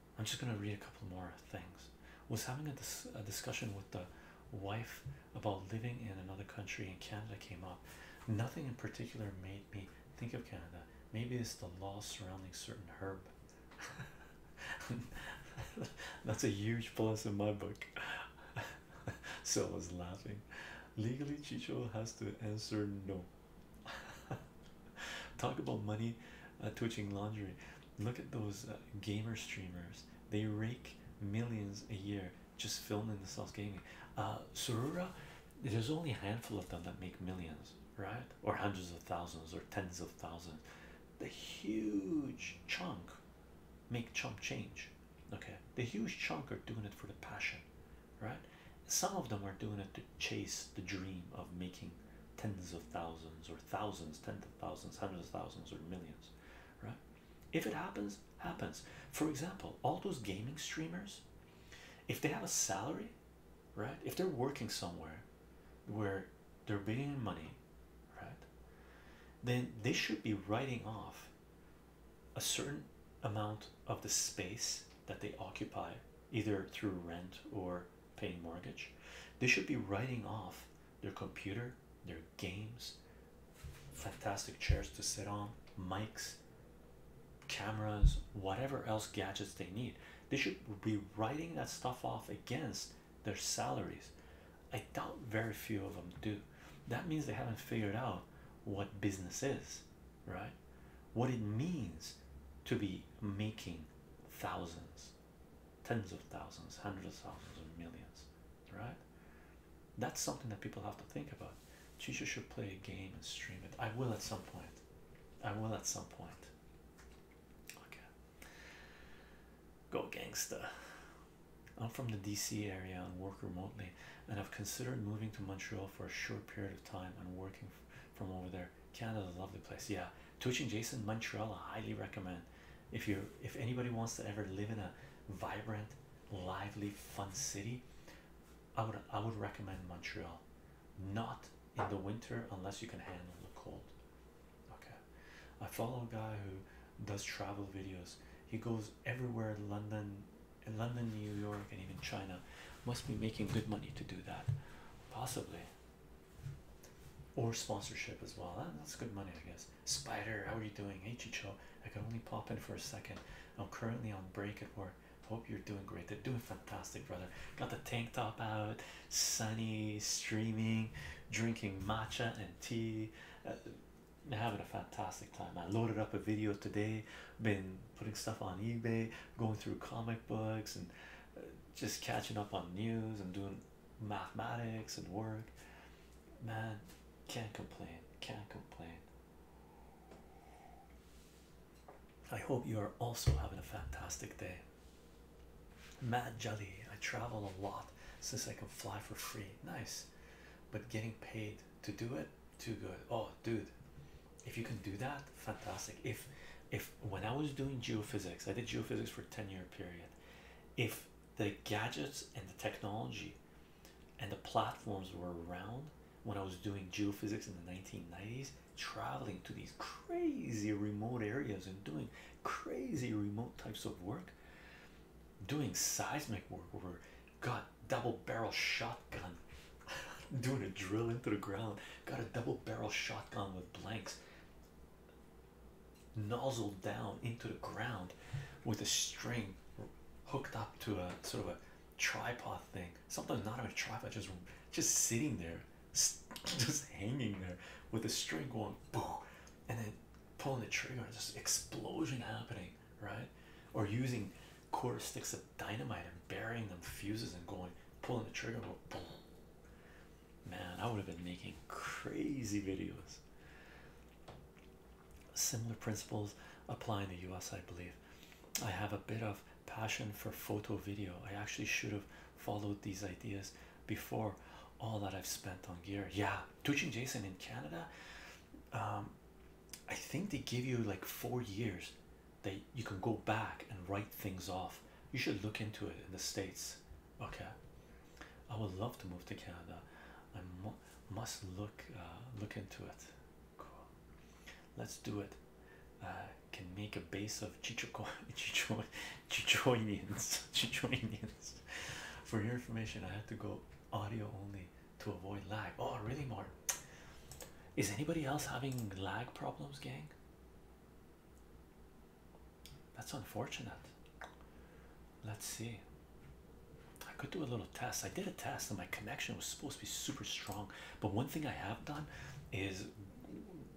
Speaker 1: I'm just gonna read a couple more things. Was having a, dis a discussion with the wife about living in another country, In Canada came up. Nothing in particular made me think of Canada. Maybe it's the law surrounding certain herb. That's a huge plus in my book. so I was laughing. Legally, Chicho has to answer no. Talk about money uh, twitching laundry. Look at those uh, gamer streamers. They rake millions a year just filming themselves gaming. Uh, Surura, there's only a handful of them that make millions, right? Or hundreds of thousands or tens of thousands. The huge chunk make chump change. Okay. The huge chunk are doing it for the passion, right? Some of them are doing it to chase the dream of making tens of thousands or thousands, tens of thousands, hundreds of thousands, or millions, right? If it happens, happens. For example, all those gaming streamers, if they have a salary, right? If they're working somewhere where they're making money, right? Then they should be writing off a certain amount of the space that they occupy, either through rent or paying mortgage. They should be writing off their computer, their games, fantastic chairs to sit on, mics, cameras, whatever else gadgets they need. They should be writing that stuff off against their salaries. I doubt very few of them do. That means they haven't figured out what business is, right? What it means to be making thousands tens of thousands, hundreds of thousands, or millions, right? That's something that people have to think about. Teachers should play a game and stream it. I will at some point. I will at some point. Okay. Go gangster. I'm from the DC area and work remotely, and I've considered moving to Montreal for a short period of time and working from over there. Canada's a lovely place. Yeah, Twitch and Jason Montreal, I highly recommend. If you if anybody wants to ever live in a vibrant, lively, fun city, I would I would recommend Montreal. Not in the winter unless you can handle the cold. Okay. I follow a guy who does travel videos. He goes everywhere London, in London, New York, and even China. Must be making good money to do that. Possibly or sponsorship as well. that's good money, I guess. Spider, how are you doing? Hey, Chicho, I can only pop in for a second. I'm currently on break at work. Hope you're doing great. They're doing fantastic, brother. Got the tank top out, sunny, streaming, drinking matcha and tea. Uh, having a fantastic time. I loaded up a video today, been putting stuff on eBay, going through comic books, and uh, just catching up on news and doing mathematics and work man can't complain can't complain i hope you are also having a fantastic day Mad Jelly, I travel a lot since I can fly for free. Nice, but getting paid to do it, too good. Oh, dude, if you can do that, fantastic. If, if when I was doing geophysics, I did geophysics for ten year period. If the gadgets and the technology and the platforms were around when I was doing geophysics in the 1990s, traveling to these crazy remote areas and doing crazy remote types of work, doing seismic work where got double barrel shotgun, doing a drill into the ground, got a double barrel shotgun with blanks. Nozzle down into the ground with a string hooked up to a sort of a tripod thing something not even a tripod just just sitting there just hanging there with a string going boom and then pulling the trigger and just explosion happening right or using quarter sticks of dynamite and burying them fuses and going pulling the trigger boom Man, I would have been making crazy videos. Similar principles apply in the US, I believe. I have a bit of passion for photo video. I actually should have followed these ideas before all that I've spent on gear. Yeah, teaching Jason in Canada, um, I think they give you like four years that you can go back and write things off. You should look into it in the States. Okay, I would love to move to Canada. I must look uh, look into it. Cool. Let's do it. Uh, can make a base of Chichoko Chicho Chichoinians Chichoinians. For your information, I had to go audio only to avoid lag. Oh, really, Mark? Is anybody else having lag problems, gang? That's unfortunate. Let's see. I could do a little test. I did a test and my connection was supposed to be super strong. But one thing I have done is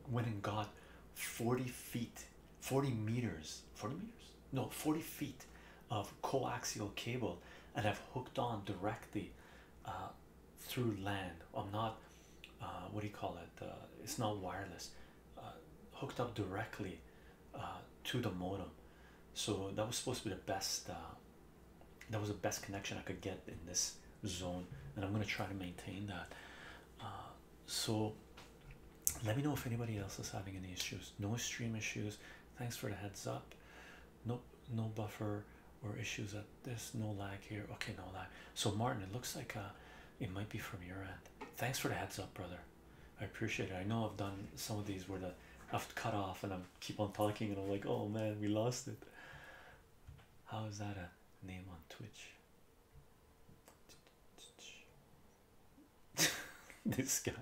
Speaker 1: went and got 40 feet, 40 meters, 40 meters? No, 40 feet of coaxial cable and I've hooked on directly uh, through land. I'm not, uh, what do you call it? Uh, it's not wireless. hooked up directly uh, to the modem so that was supposed to be the best uh, that was the best connection I could get in this zone and I'm gonna try to maintain that uh, so let me know if anybody else is having any issues no stream issues thanks for the heads up no no buffer or issues at this no lag here okay no lag so Martin it looks like uh, it might be from your end thanks for the heads up brother I appreciate it. I know I've done some of these where the I've cut off and i keep on talking and I'm like, oh man, we lost it. How is that a name on Twitch? this guy,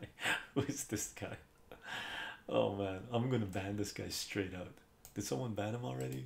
Speaker 1: who is this guy? Oh man, I'm gonna ban this guy straight out. Did someone ban him already?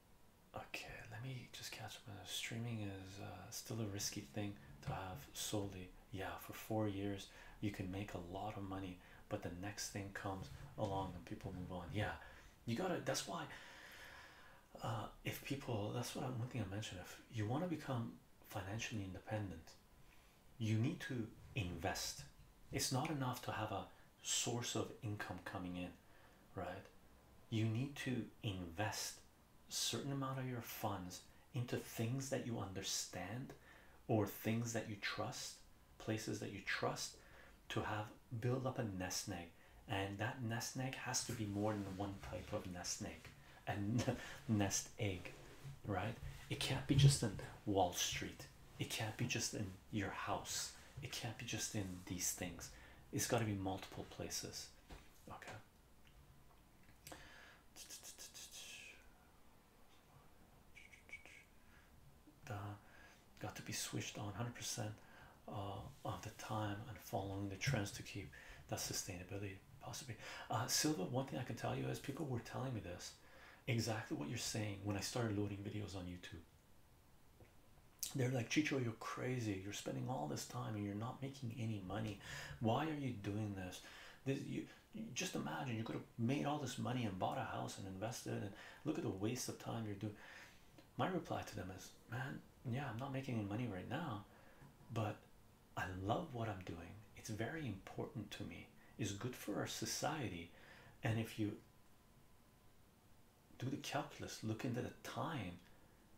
Speaker 1: Okay, let me just catch up. Streaming is uh, still a risky thing to have solely. Yeah, for four years you can make a lot of money, but the next thing comes along and people move on. Yeah, you gotta. That's why. Uh, if people, that's what I'm one thing I mentioned. If you want to become financially independent, you need to invest. It's not enough to have a source of income coming in right you need to invest a certain amount of your funds into things that you understand or things that you trust places that you trust to have build up a nest egg and that nest egg has to be more than one type of nest egg and nest egg right it can't be just in wall street it can't be just in your house it can't be just in these things it's got to be multiple places Okay. The, got to be switched on 100% uh, of the time and following the trends to keep that sustainability possibly. Uh, Silva, one thing I can tell you is people were telling me this exactly what you're saying when I started loading videos on YouTube. They're like, Chicho, you're crazy. You're spending all this time and you're not making any money. Why are you doing this? This you, just imagine you could have made all this money and bought a house and invested and look at the waste of time you're doing. My reply to them is, man, yeah, I'm not making any money right now, but I love what I'm doing. It's very important to me. It's good for our society, and if you do the calculus look into the time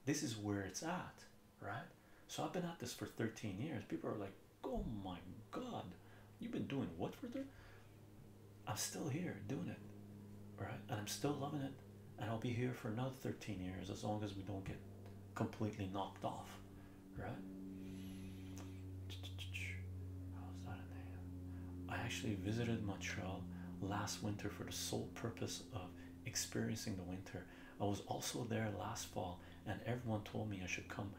Speaker 1: this is where it's at right so i've been at this for 13 years people are like oh my god you've been doing what for there i'm still here doing it right and i'm still loving it and i'll be here for another 13 years as long as we don't get completely knocked off right How's that in there? i actually visited montreal last winter for the sole purpose of experiencing the winter. I was also there last fall, and everyone told me I should come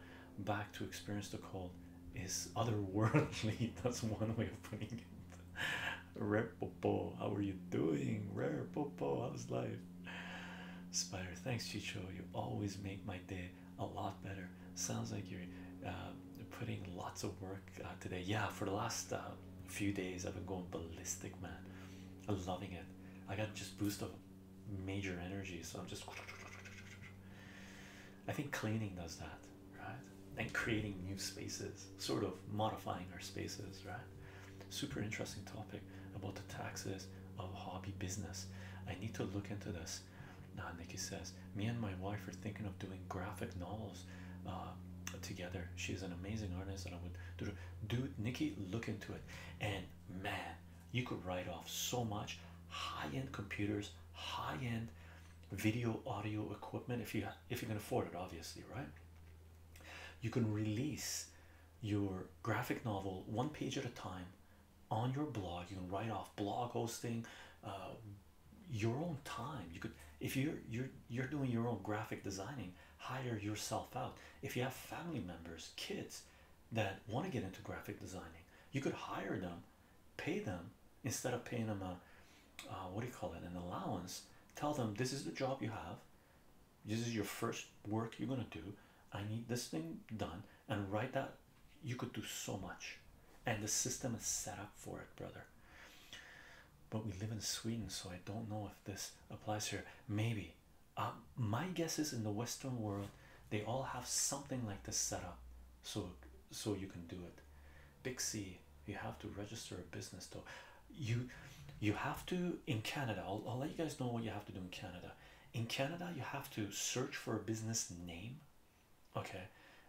Speaker 1: back to experience the cold. Is otherworldly. That's one way of putting it. Rare how are you doing? Rare Popo, how's life? Spider, thanks, Chicho. You always make my day a lot better. Sounds like you're uh, putting lots of work uh, today. Yeah, for the last uh, few days, I've been going ballistic, man. I'm loving it. I got just boost of major energy, so I'm just. I think cleaning does that, right? And creating new spaces, sort of modifying our spaces, right? Super interesting topic about the taxes of hobby business. I need to look into this. Now, Nikki says, Me and my wife are thinking of doing graphic novels albums uh, together. She's an amazing artist, and I would do, do Nikki look into it. And man, you could write off so much high-end computers, high-end video audio equipment if you if you can afford it, obviously, right? You can release your graphic novel one page at a time on your blog. You can write off blog hosting. Uh, your own time you could if you're you're you're doing your own graphic designing hire yourself out. If you have family members, kids that want to get into graphic designing, you could hire them, pay them instead of paying them a uh, what do you call it an allowance. Tell them this is the job you have, this is your first work you're gonna do. I need this thing done, and right that you could do so much, and the system is set up for it, brother but we live in Sweden, so I don't know if this applies here. Maybe uh, my guess is in the Western world, they all have something like this set up, so so you can do it. Big C, you have to register a business though. You you have to in Canada. I'll, I'll let you guys know what you have to do in Canada. In Canada, you have to search for a business name, okay.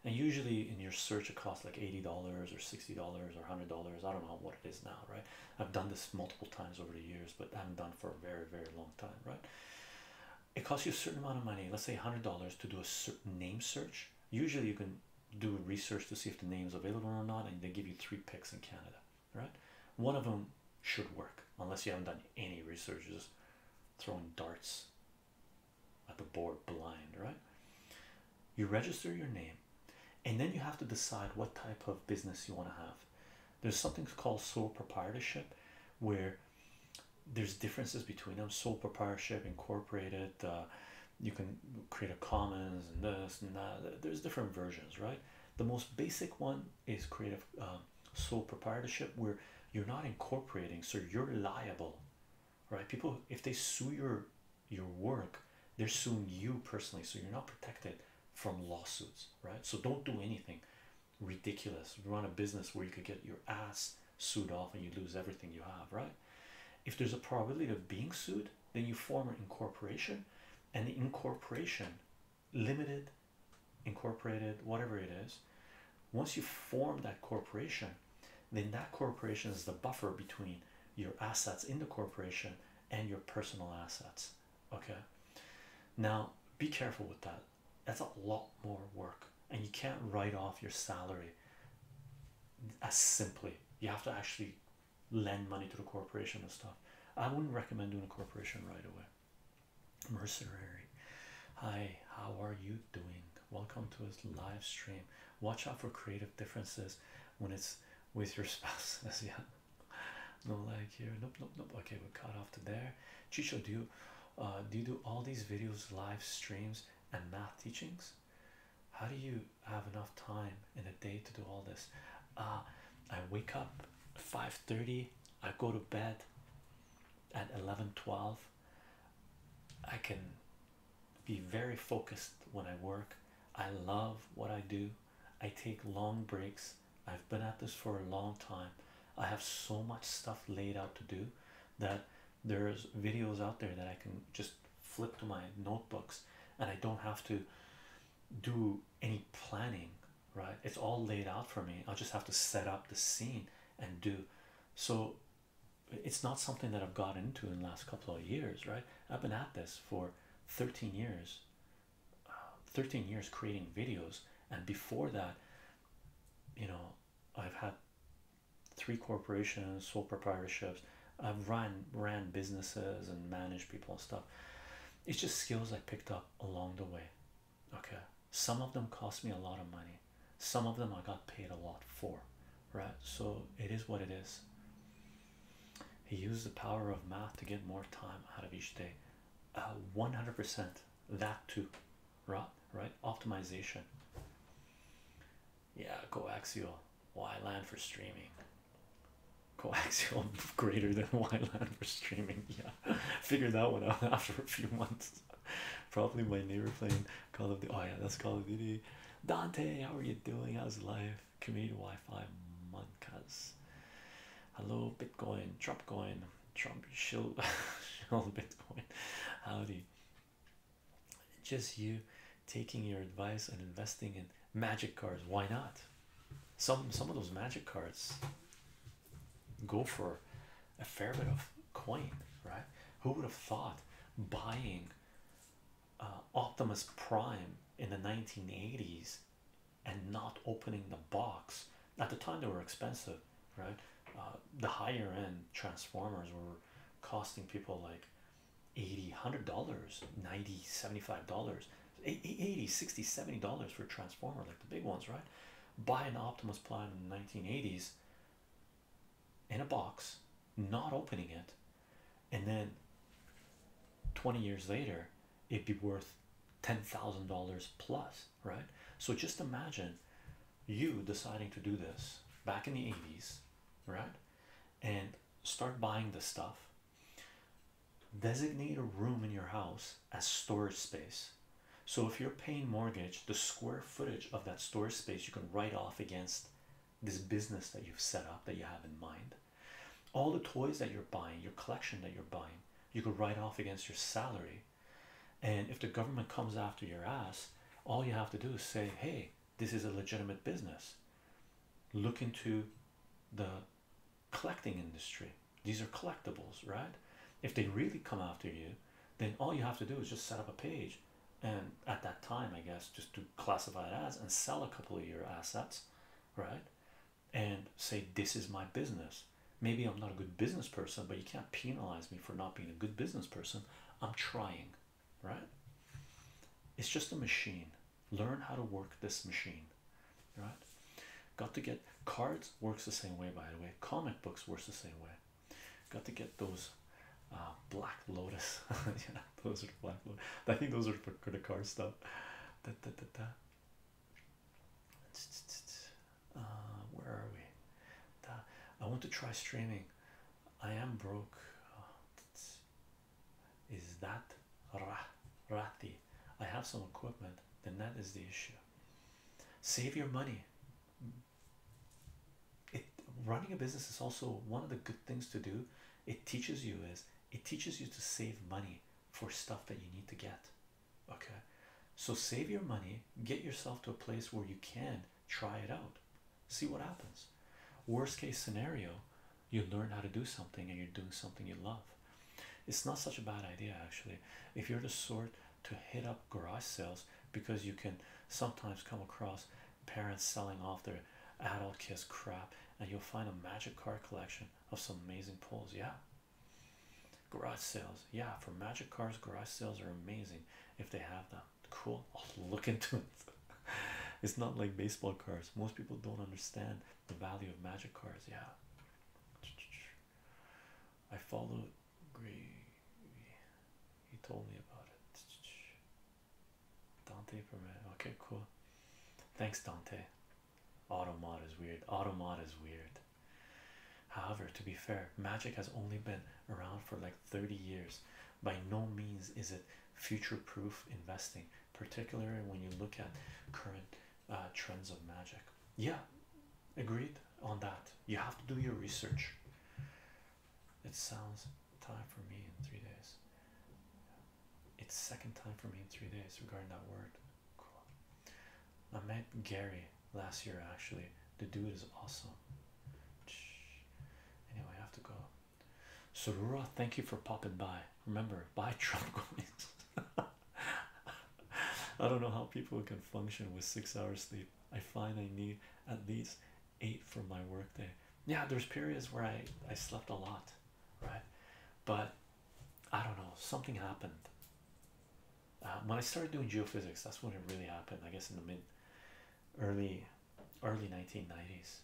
Speaker 1: And usually in your search, it costs like $80 or $60 or $100. I don't know what it is now, right? I've done this multiple times over the years, but I haven't done for a very, very long time, right? It costs you a certain amount of money, let's say $100 to do a certain name search. Usually, you can do research to see if the name is available or not, and they give you three picks in Canada, right? One of them should work, unless you haven't done any research, just throwing darts at the board blind, right? you register your name and then you have to decide what type of business you want to have there's something called sole proprietorship where there's differences between them sole proprietorship incorporated uh, you can create a commons and this and that there's different versions right the most basic one is creative um, sole proprietorship where you're not incorporating so you're liable right people if they sue your your work, they're suing you personally, so you're not protected from lawsuits, right? So don't do anything ridiculous. Run a business where you could get your ass sued off and you lose everything you have, right? If there's a probability of being sued, then you form an incorporation, and the incorporation, limited, incorporated, whatever it is, once you form that corporation, then that corporation is the buffer between your assets in the corporation and your personal assets. Okay, now be careful with that. That's a lot more work, and you can't write off your salary as simply. You have to actually lend money to the corporation and stuff. I wouldn't recommend doing a corporation right away. Mercenary, hi, how are you doing? Welcome to this live stream. Watch out for creative differences when it's with your spouse as yeah no like here nope nope nope okay we cut off to there chicho do you uh do you do all these videos live streams and math teachings how do you have enough time in a day to do all this uh i wake up five thirty. i go to bed at eleven twelve. i can be very focused when i work i love what i do I take long breaks. I've been at this for a long time. I have so much stuff laid out to do that there's videos out there that I can just flip to my notebooks and I don't have to do any planning, right? It's all laid out for me. i just have to set up the scene and do so. It's not something that I've got into in the last couple of years, right? I've been at this for 13 years um, 13 years creating videos and before that you know i've had three corporations sole proprietorships i've run ran businesses and managed people and stuff it's just skills i picked up along the way okay some of them cost me a lot of money some of them i got paid a lot for right so it is what it is he used the power of math to get more time out of each day. Uh, 100% that too, right? Right? Optimization. Yeah, coaxial. land for streaming. Coaxial greater than land for streaming. Yeah, figured that one out after a few months. Probably my neighbor playing Call of Duty. Oh yeah, that's Call of Duty. Dante, how are you doing? How's life? community Wi-Fi Monkas. Hello, Bitcoin, coin, Trump shill, shill Bitcoin. Howdy. Just you taking your advice and investing in magic cards. Why not? Some some of those magic cards go for a fair bit of coin, right? Who would have thought buying uh, optimus Prime in the 1980s and not opening the box at the time they were expensive right uh, the higher end transformers were costing people like 80 100 dollars 90 dollars 80 60 70 dollars for a transformer like the big ones right buy an optimus prime in the 1980s in a box not opening it and then 20 years later it'd be worth $10,000 plus, right? So just imagine you deciding to do this back in the 80s, right? And start buying the stuff. Designate a room in your house as storage space. So if you're paying mortgage, the square footage of that storage space you can write off against this business that you've set up that you have in mind all the toys that you're buying your collection that you're buying you could write off against your salary and if the government comes after your ass all you have to do is say hey this is a legitimate business look into the collecting industry these are collectibles right if they really come after you then all you have to do is just set up a page and at that time i guess just to classify it as and sell a couple of your assets right and say this is my business maybe i'm not a good business person but you can't penalize me for not being a good business person i'm trying right it's just a machine learn how to work this machine right got to get cards works the same way by the way comic books works the same way got to get those uh, black lotus you know those are the black lord. I think those are for credit card stuff. Da, da, da, da. Uh, where are we? I want to try streaming. I am broke. Uh, is that rah, I have some equipment. Then that is the issue. Save your money. It running a business is also one of the good things to do. It teaches you is it teaches you to save money for stuff that you need to get. Okay, so save your money, get yourself to a place where you can try it out, see what happens. Worst case scenario, you learn how to do something and you're doing something you love. It's not such a bad idea, actually. If you're the sort to hit up garage sales because you can sometimes come across parents selling off their adult kids crap and you'll find a magic car collection of some amazing pulls. Yeah, garage sales. Yeah, for magic cars, garage sales are amazing if they have them. Cool. I'll look into it. it's not like baseball cards. Most people don't understand the value of magic cars. Yeah. I followed Gree. He told me about it. Dante for me. Okay, cool. Thanks, Dante. Automod is weird. Automod is weird. However, to be fair, magic has only been around for like 30 years. By no means is it future proof investing, particularly when you look at current uh, trends of magic. Yeah, agreed on that. You have to do your research. It sounds time for me in three days. It's second time for me in three days regarding that word. Cool. I met Gary last year actually. The dude is awesome. Anyway, I have to go. Sorura, thank you for popping by. Remember, buy Trump coins. I don't know how people can function with six hours sleep. I find I need at least eight for my workday. Yeah, there's periods where I I slept a lot right? But I don't know, something happened. Uh, when I started doing geophysics, that's when it really happened, I guess, in the mid early early 1990s,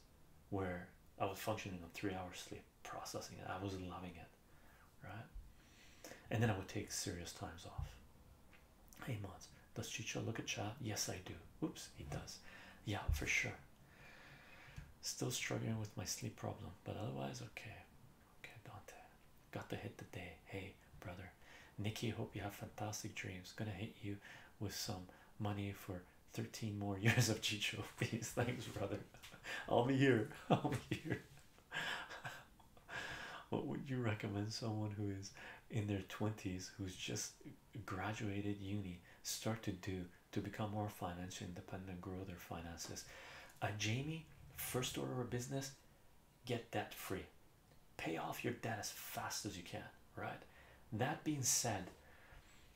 Speaker 1: where I was functioning on three hours sleep, processing it. I was loving it, right? And then I would take serious times off. Hey, Mons, does Chicha look at chat? Yes, I do. Oops, he does. Yeah, for sure. Still struggling with my sleep problem, but otherwise okay. Okay, Dante. Got to hit the day. Hey, brother. Nikki, hope you have fantastic dreams. Gonna hit you with some money for 13 more years of Chicho fees. Thanks, brother. I'll be here. I'll be here. what would you recommend someone who is in their 20s who's just graduated uni start to do to become more financially independent, grow their finances. A uh, Jamie, first order of business, get debt free, pay off your debt as fast as you can. Right, that being said,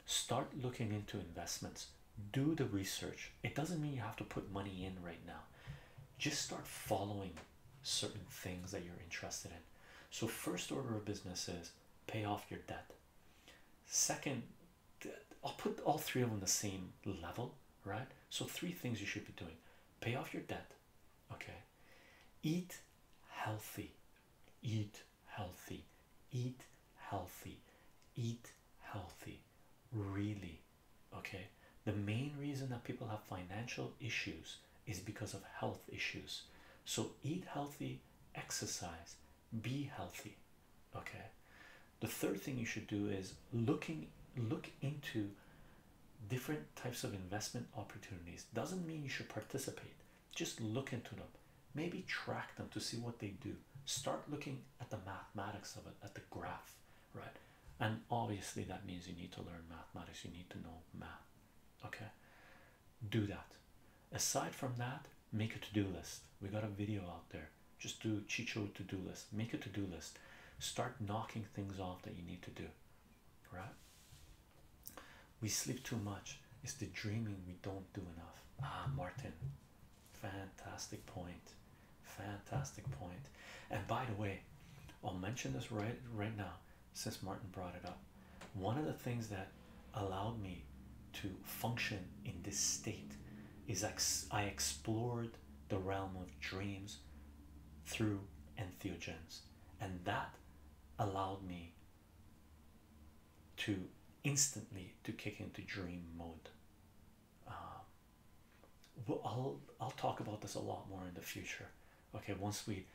Speaker 1: start looking into investments, do the research. It doesn't mean you have to put money in right now, just start following certain things that you're interested in. So, first order of business is pay off your debt. Second I'll put all three of them the same level, right? So, three things you should be doing pay off your debt, okay? Eat healthy, eat healthy, eat healthy, eat healthy, really, okay? The main reason that people have financial issues is because of health issues. So, eat healthy, exercise, be healthy okay the third thing you should do is looking look into different types of investment opportunities doesn't mean you should participate just look into them maybe track them to see what they do start looking at the mathematics of it at the graph right and obviously that means you need to learn mathematics you need to know math okay do that aside from that make a to-do list we got a video out there just do chicho to-do list make a to-do list start knocking things off that you need to do right we sleep too much it's the dreaming we don't do enough ah martin fantastic point fantastic point and by the way i'll mention this right right now since martin brought it up one of the things that allowed me to function in this state is ex I explored the realm of dreams through entheogens, and that allowed me to instantly to kick into dream mode. Um, I'll I'll talk about this a lot more in the future. Okay, once we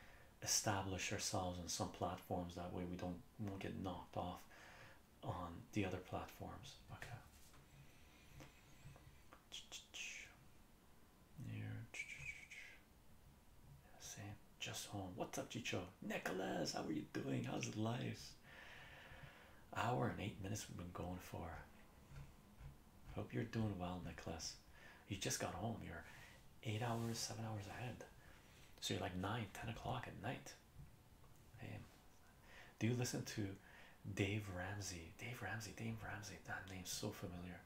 Speaker 1: establish ourselves on some platforms, that way we don't won't get knocked off on the other platforms. Okay. Same. Just home. What's up, Chicho? Nicholas, how are you doing? How's life? Hour and eight minutes we've been going for. Hope you're doing well, Nicholas. You just got home. You're eight hours, seven hours ahead. So you're like nine, ten o'clock at night do you listen to Dave Ramsey? Dave Ramsey, Dave Ramsey, that name's so familiar.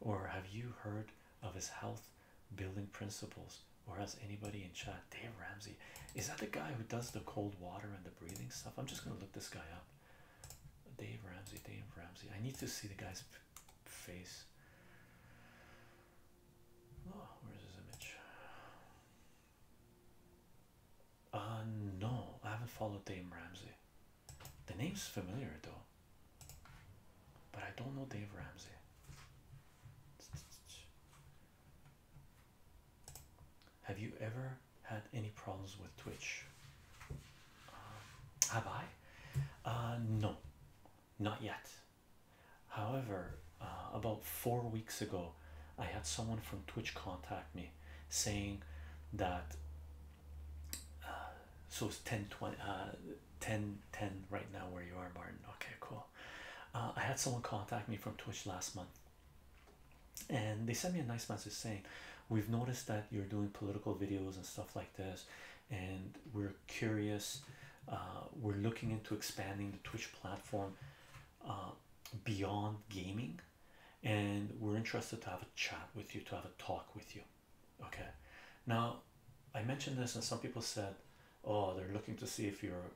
Speaker 1: Or have you heard of his health building principles? Or has anybody in chat? Dave Ramsey, is that the guy who does the cold water and the breathing stuff? I'm just gonna look this guy up. Dave Ramsey, Dave Ramsey. I need to see the guy's face. Oh, where's his image? Uh, no, I haven't followed Dave Ramsey. The name's familiar though, but I don't know Dave Ramsey. Have you ever had any problems with Twitch? Uh, have I? Uh, no, not yet. However, uh, about four weeks ago, I had someone from Twitch contact me saying that uh, so it's 10 20 uh, 10 right now where you are, Martin. Okay, cool. Uh, I had someone contact me from Twitch last month, and they sent me a nice message saying, We've noticed that you're doing political videos and stuff like this, and we're curious. Uh, we're looking into expanding the Twitch platform uh, beyond gaming and we're interested to have a chat with you to have a talk with you okay now i mentioned this and some people said oh they're looking to see if you're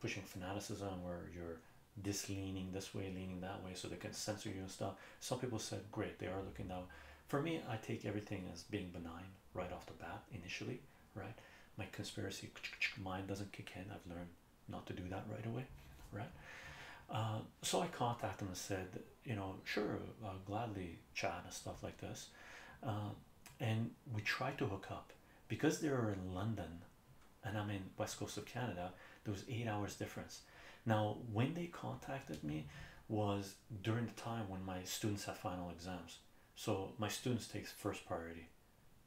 Speaker 1: pushing fanaticism or you're this leaning this way leaning that way so they can censor you and stuff some people said great they are looking now for me i take everything as being benign right off the bat initially right my conspiracy mind doesn't kick in i've learned not to do that right away, right? Uh, so I contacted him and said, you know, sure, uh, gladly chat and stuff like this. Uh, and we tried to hook up because they were in London and I'm in west coast of Canada, there was eight hours difference. Now, when they contacted me was during the time when my students have final exams. So my students takes first priority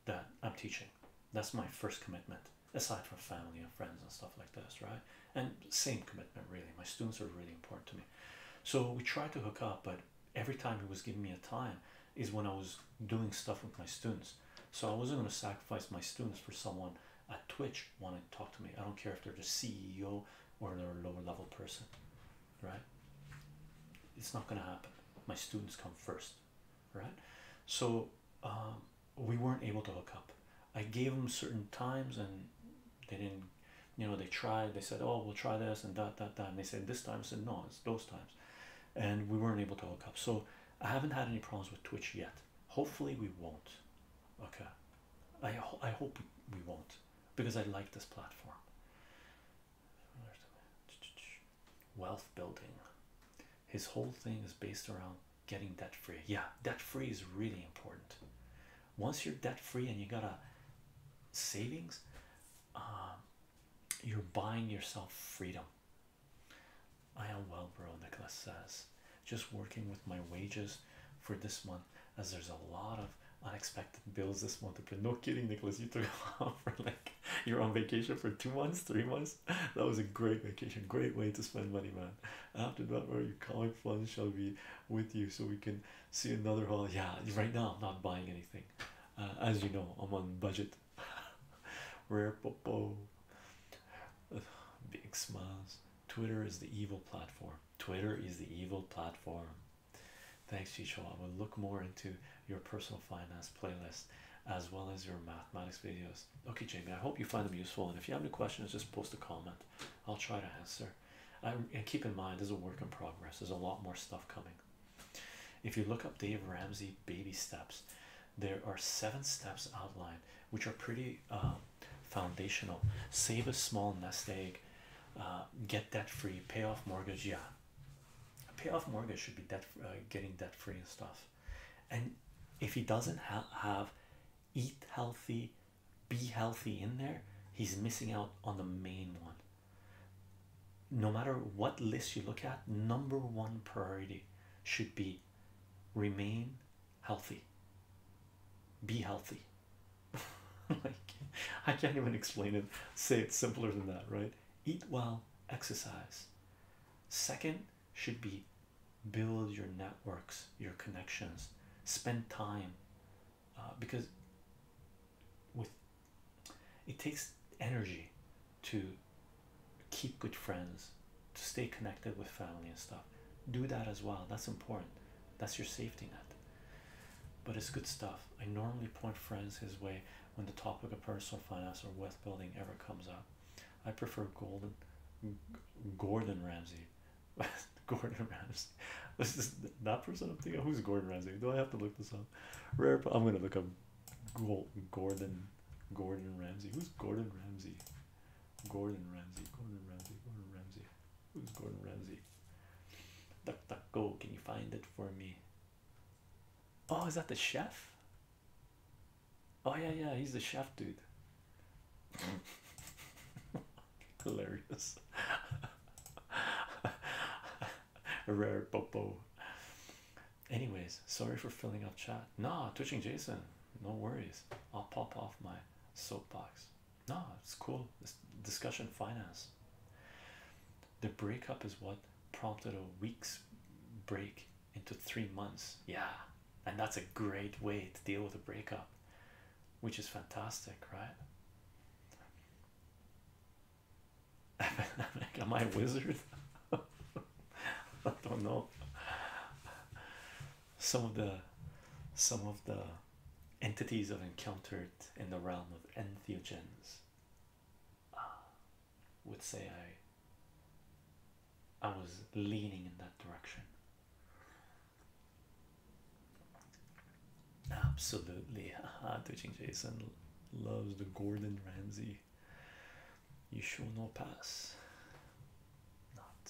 Speaker 1: that I'm teaching. That's my first commitment, aside from family and friends and stuff like this, right? And same commitment, really. My students are really important to me. So we tried to hook up, but every time he was giving me a time is when I was doing stuff with my students. So I wasn't going to sacrifice my students for someone at Twitch wanting to talk to me. I don't care if they're the CEO or they're a lower level person, right? It's not going to happen. My students come first right? So um, we weren't able to hook up. I gave them certain times and they didn't, you know, they tried, they said, oh, we'll try this and that, that, that. And they said this time, I no, it's those times. And we weren't able to hook up. So I haven't had any problems with Twitch yet. Hopefully we won't. Okay. I, I hope we won't because I like this platform wealth building. His whole thing is based around getting debt free. Yeah, debt free is really important. Once you're debt free and you got a savings, um, you're buying yourself freedom. I am well, bro, Nicholas says. Just working with my wages for this month, as there's a lot of unexpected bills this month. No kidding, Nicholas, you took off for like You're on vacation for two months, three months. That was a great vacation, great way to spend money, man. After that, where your comic fund shall be with you, so we can see another haul. Yeah, right now I'm not buying anything. Uh, as you know, I'm on budget. Rare popo, big smiles. Twitter is the evil platform. Twitter is the evil platform. Thanks, Chicho. I will look more into your personal finance playlist as well as your mathematics videos. Okay, Jamie, I hope you find them useful. And if you have any questions, just post a comment. I'll try to answer. Um, and keep in mind, this is a work in progress. There's a lot more stuff coming. If you look up Dave Ramsey baby steps, there are seven steps outlined, which are pretty um, foundational. Save a small nest egg, uh, get debt free, pay off mortgage. Yeah, pay off mortgage should be debt, uh, getting debt free and stuff and if he doesn't have eat healthy be healthy in there he's missing out on the main one no matter what list you look at number one priority should be remain healthy be healthy like i can't even explain it say it simpler than that right eat well exercise second should be build your networks, your connections, spend time uh, because with it takes energy to keep good friends, to stay connected with family and stuff. Do that as well. That's important. That's your safety net. But it's good stuff. I normally point friends his way when the topic of personal finance or wealth building ever comes up. I prefer Golden Gordon Ramsay. Gordon Ramsay. This is that person I'm thinking. Who's Gordon Ramsay? Do I have to look this up? Rare. I'm gonna look up Gordon Gordon Ramsay. Who's Gordon Ramsay? Gordon Ramsay. Gordon Ramsay. Gordon Ramsay. Who's Gordon Ramsay? Duck, duck, go. Can you find it for me? Oh, is that the chef? Oh yeah, yeah, he's the chef dude. Hilarious. a Rare popo. Anyways, sorry for filling up chat. Nah, twitching Jason. No worries. I'll pop off my soapbox. Nah, it's cool. This discussion finance. The breakup is what prompted a week's break into three months. Yeah, and that's a great way to deal with a breakup, which is fantastic, right? Am I a wizard? I don't know. Some of the some of the entities I've encountered in the realm of entheogens. Ah would say I I was leaning in that direction. Absolutely, touching Jason loves the Gordon Ramsay. You show no pass. Not.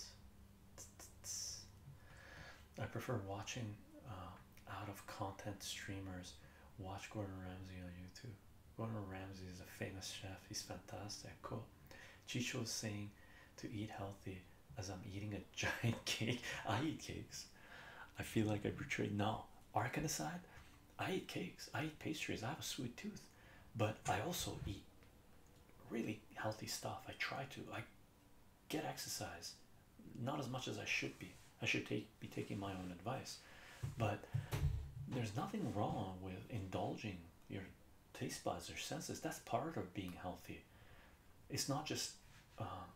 Speaker 1: T -t -t I prefer watching uh, out of content streamers watch Gordon Ramsay on YouTube. Gordon Ramsay is a famous chef. He's fantastic. Cool. Chicho is saying to eat healthy as I'm eating a giant cake. I eat cakes. I feel like I betrayed. No, Arkan aside, I eat cakes. I eat pastries. I have a sweet tooth, but I also eat really healthy stuff. I try to. I get exercise, not as much as I should be. I should take be taking my own advice, but there's nothing wrong with indulging your taste buds, your senses. That's part of being healthy. It's not just um,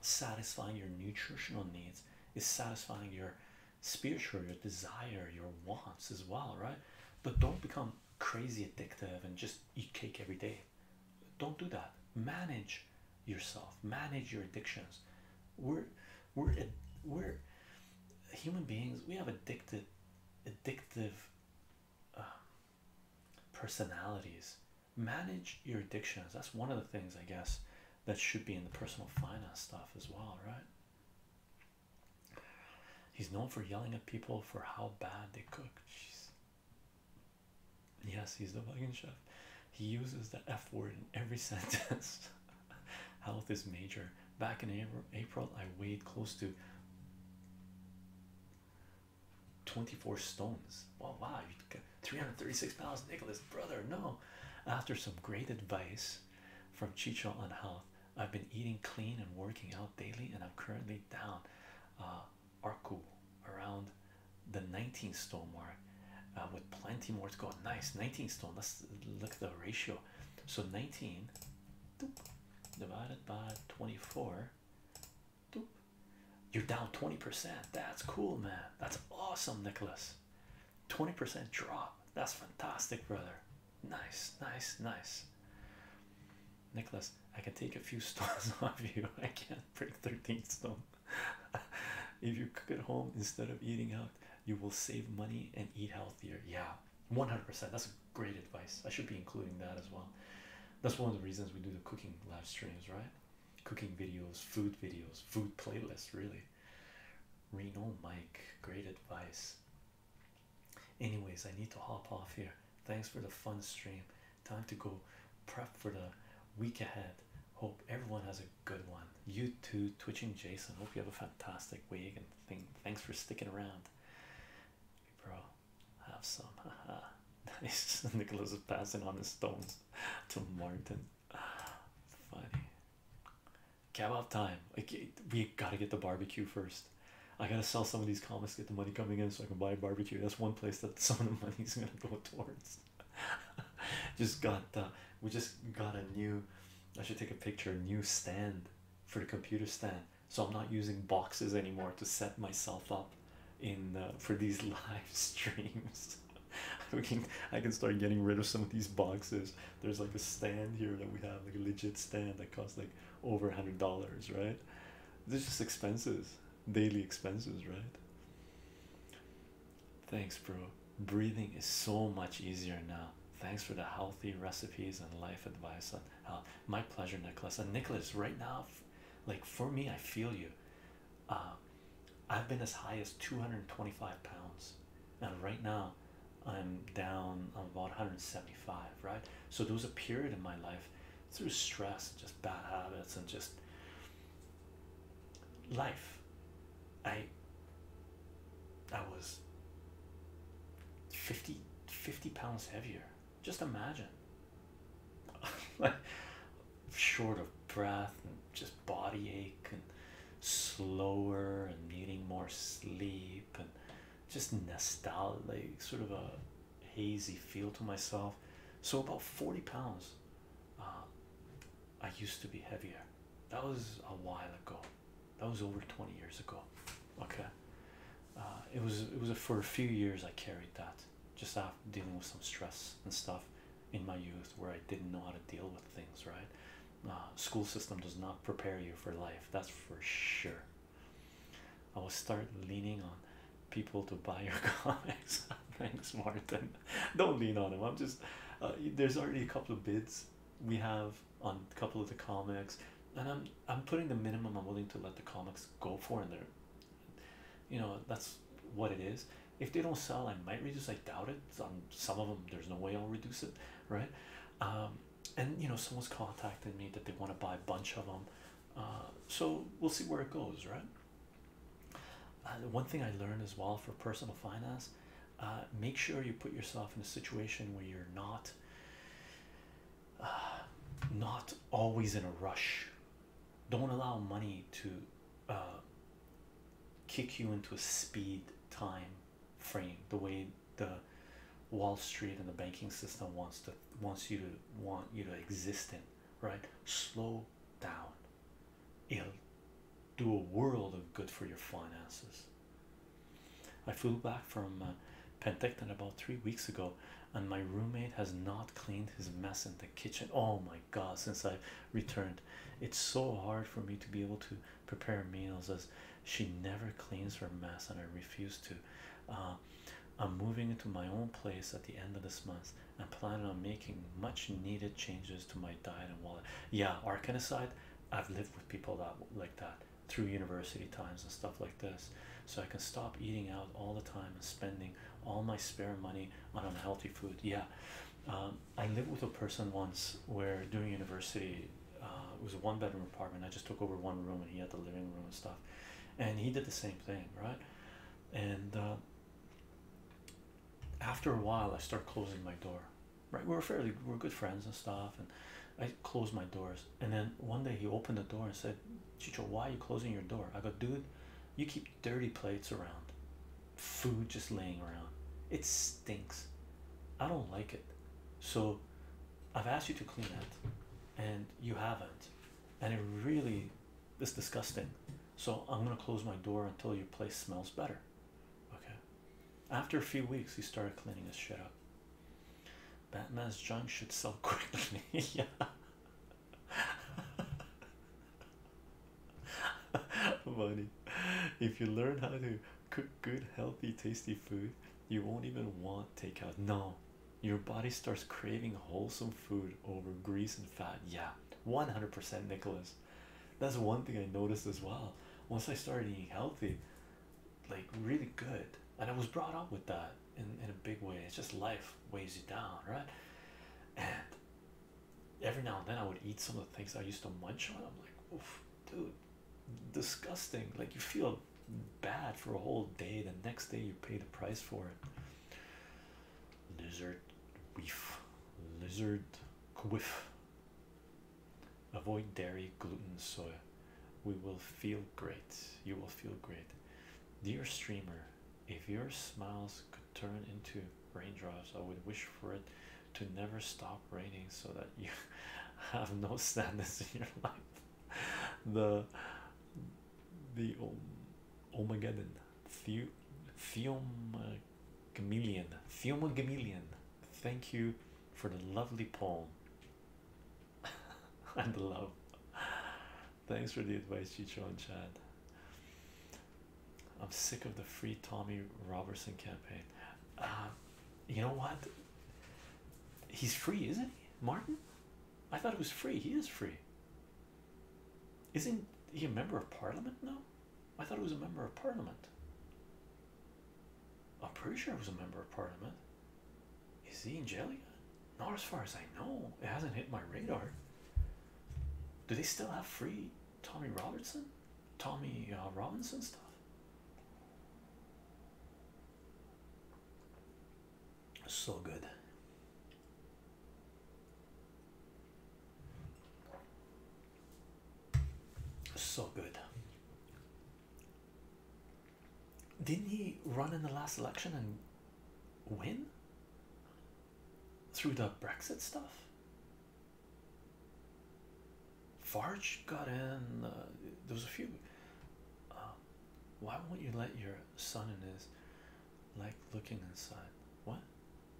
Speaker 1: satisfying your nutritional needs, it's satisfying your spiritual, your desire, your wants as well, right? But don't become crazy addictive and just eat cake every day. Don't do that. Manage yourself, manage your addictions. We're we're we're human beings we have addicted addictive um, personalities manage your addictions that's one of the things i guess that should be in the personal finance stuff as well right he's known for yelling at people for how bad they cook yes he's the vegan chef he uses the f word in every sentence health is major. Back in April, April I weighed close to 24 stones. Well, wow, you got 336 pounds, Nicholas, brother. No, after some great advice from Chicho on health, I've been eating clean and working out daily, and I'm currently down uh, Arku around the 19 stone mark uh, with plenty more to go. Nice 19 stone. Let's look at the ratio. So 19 divided by 24 you're down 20% that's cool man that's awesome Nicholas 20% drop that's fantastic brother nice nice nice Nicholas I can take a few stones off you I can't break 13 stone if you cook at home instead of eating out you will save money and eat healthier yeah 100%. That's great advice. I should be including that as well. That's one of the reasons we do the cooking live streams, right? Cooking videos, food videos, food playlist. really. Reno Mike, great advice. Anyways, I need to hop off here. Thanks for the fun stream. Time to go prep for the week ahead. Hope everyone has a good one. You too, Twitching Jason. Hope you have a fantastic week and thing. Thanks for sticking around, bro. Have some. nice. Nicholas is passing on the stones to Martin. Funny. Kebab time. Okay, we gotta get the barbecue first. I gotta sell some of these comics, get the money coming in, so I can buy a barbecue. That's one place that some of the money is gonna go towards. just got we just got a new. I should take a picture. New stand for the computer stand so i'm not using boxes anymore to set myself up in for these live streams i can i can start getting rid of some of these boxes there's like a stand here that we have like a legit stand that costs like over a hundred dollars right this just expenses daily expenses right thanks bro breathing is so much easier now thanks for the healthy recipes and life advice. Uh, uh, my pleasure, Nicholas. And uh, Nicholas, right now, like for me, I feel you. I've been as high as 225 pounds, and right now, I'm down I'm about 175. Right. So there was a period in my life through stress, just bad habits, and just life. I I was 50 pounds heavier. Just imagine. like short of breath and just body ache and slower and needing more sleep and just nostalgic like sort of a hazy feel to myself. So about 40 pounds. Uh, I used to be heavier. That was a while ago that was over 20 years ago okay uh, it was it was for a few years I carried that just after dealing with some stress and stuff in my youth where I didn't know how to deal with things right uh, school system does not prepare you for life that's for sure I will start leaning on people to buy your comics thanks Martin don't lean on them I'm just uh, there's already a couple of bids we have on a couple of the comics and i'm i'm putting the minimum i'm willing to let the comics go for in there you know that's what it is if they don't sell i might reduce i doubt it on some of them there's no way i'll reduce it right um and you know someone's contacting me that they want to buy a bunch of them uh so we'll see where it goes right uh, one thing i learned as well for personal finance uh, make sure you put yourself in a situation where you're not not always in a rush don't allow money to uh, kick you into a speed time frame the way the wall street and the banking system wants to wants you to want you to exist in right slow down it'll do a world of good for your finances I flew back from uh, Pentecost about three weeks ago, and my roommate has not cleaned his mess in the kitchen. Oh my god, since I returned, it's so hard for me to be able to prepare meals as she never cleans her mess, and I refuse to. Uh, I'm moving into my own place at the end of this month and planning on making much needed changes to my diet and wallet. Yeah, Arkansas, I've lived with people that like that through university times and stuff like this so i can stop eating out all the time and spending all my spare money on unhealthy food yeah um, i lived with a person once where during university uh, it was a one bedroom apartment i just took over one room and he had the living room and stuff and he did the same thing right and uh, after a while i start closing my door right we we're fairly we're good friends and stuff and I closed my doors, and then one day he opened the door and said, Chicho, why are you closing your door? I go, dude, you keep dirty plates around, food just laying around. It stinks. I don't like it. So I've asked you to clean it, and you haven't. And it really is disgusting. So I'm going to close my door until your place smells better. Okay. After a few weeks, he started cleaning his shit up. Batman's junk should sell quickly. yeah. Money. If you learn how to cook good, healthy, tasty food, you won't even want takeout. No, your body starts craving wholesome food over grease and fat. Yeah, 100% Nicholas. That's one thing I noticed as well. Once I started eating healthy, like really good and i was brought up with that in, in a big way it's just life weighs you down right and every now and then i would eat some of the things i used to munch on i'm like oof dude disgusting like you feel bad for a whole day the next day you pay the price for it lizard weef lizard quiff Avoid dairy, gluten, soy. We will feel great. You will feel great. Dear streamer, if your smiles could turn into raindrops, I would wish for it to never stop raining so that you have no sadness in your life. The the om Omegaddon the Theomagamelian. Theomagamelian. Thank you for the lovely poem. and love. Thanks for the advice, Chicho and Chad. I'm sick of the free Tommy Robertson campaign. Uh, you know what? He's free, isn't he, Martin? I thought it was free. He is free. Isn't he a member of parliament now? I thought he was a member of parliament. I'm pretty sure he was a member of parliament. Is he in jail Not as far as I know. It hasn't hit my radar. Do they still have free Tommy Robertson? Tommy uh, Robinson stuff? So good. So good. Didn't he run in the last election and win through the Brexit stuff? Farge got in. Uh, there was a few. Um, why won't you let your son in his like looking inside? What?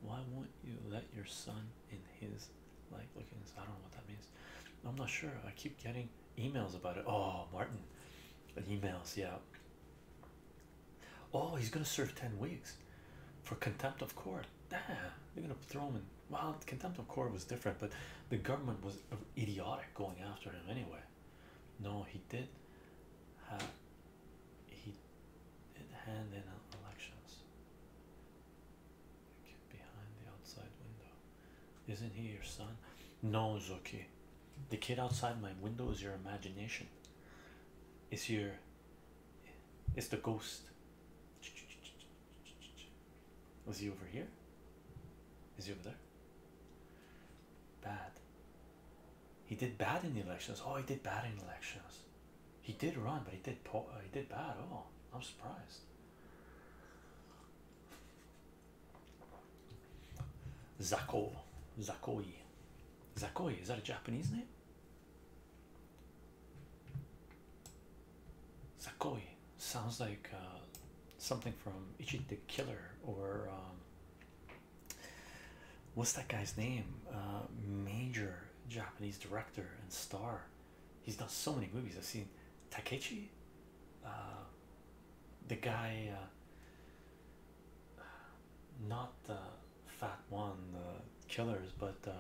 Speaker 1: Why won't you let your son in his like looking inside? I don't know what that means. I'm not sure. I keep getting emails about it. Oh, Martin, emails, yeah. Oh, he's gonna serve 10 weeks for contempt of court. Damn, they're gonna throw him in. Well, contempt of court was different, but the government was idiotic going after him anyway. No, he did have he did hand in elections. Get behind the outside window. Isn't he your son? No, Zoki. The kid outside my window is your imagination. Is your it's the ghost. Was he over here? Is he over there? Bad. He did bad in the elections. Oh, he did bad in the elections. He did run, but he did po he did bad. Oh, I'm surprised. Zako, Zakoi, Zakoi. Is that a Japanese name? Zakoi sounds like uh, something from Ichi the Killer or um, what's that guy's name? Uh, major Japanese director and star. He's done so many movies. I've seen Takechi. Uh, the guy uh, not the fat one the killers but uh,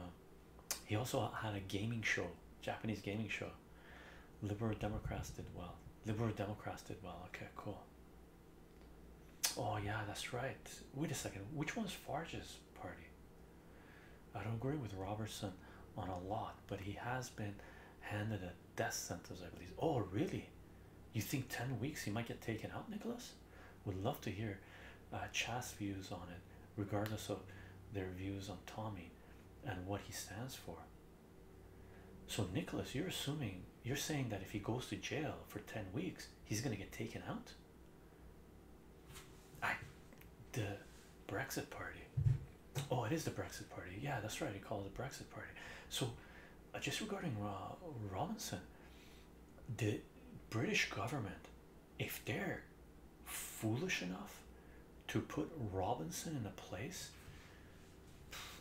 Speaker 1: he also had a gaming show Japanese gaming show liberal Democrats did well liberal Democrats did well okay cool oh yeah that's right wait a second which one's Farge's party I don't agree with Robertson on a lot but he has been handed a death sentence, I believe. Oh, really? You think 10 weeks he might get taken out, Nicholas? Would love to hear uh, Chas views on it, regardless of their views on Tommy and what he stands for. So, Nicholas, you're assuming you're saying that if he goes to jail for 10 weeks, he's gonna get taken out. I the Brexit party Oh, it is the Brexit Party. Yeah, that's right. They call it the Brexit Party. So, uh, just regarding uh, Robinson, the British government, if they're foolish enough to put Robinson in a place,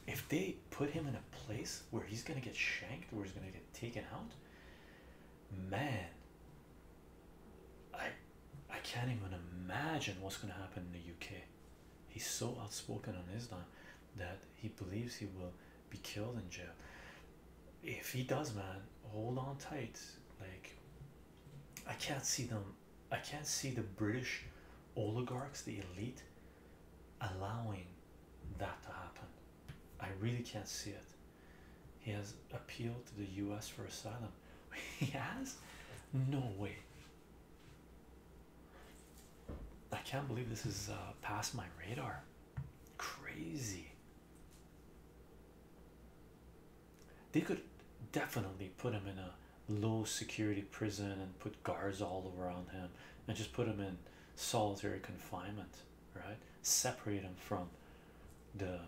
Speaker 1: if they put him in a place where he's going to get shanked, where he's going to get taken out, man, I, I can't even imagine what's going to happen in the UK. He's so outspoken on Islam that he believes he will be killed in jail. If he does, man, hold on tight. Like, I can't see them, I can't see the British oligarchs, the elite, allowing that to happen. I really can't see it. He has appealed to the US for asylum. He has? No way. I can't believe this is uh, past my radar. Crazy. They could definitely put him in a low security prison and put guards all around him and just put him in solitary confinement, right? Separate him from the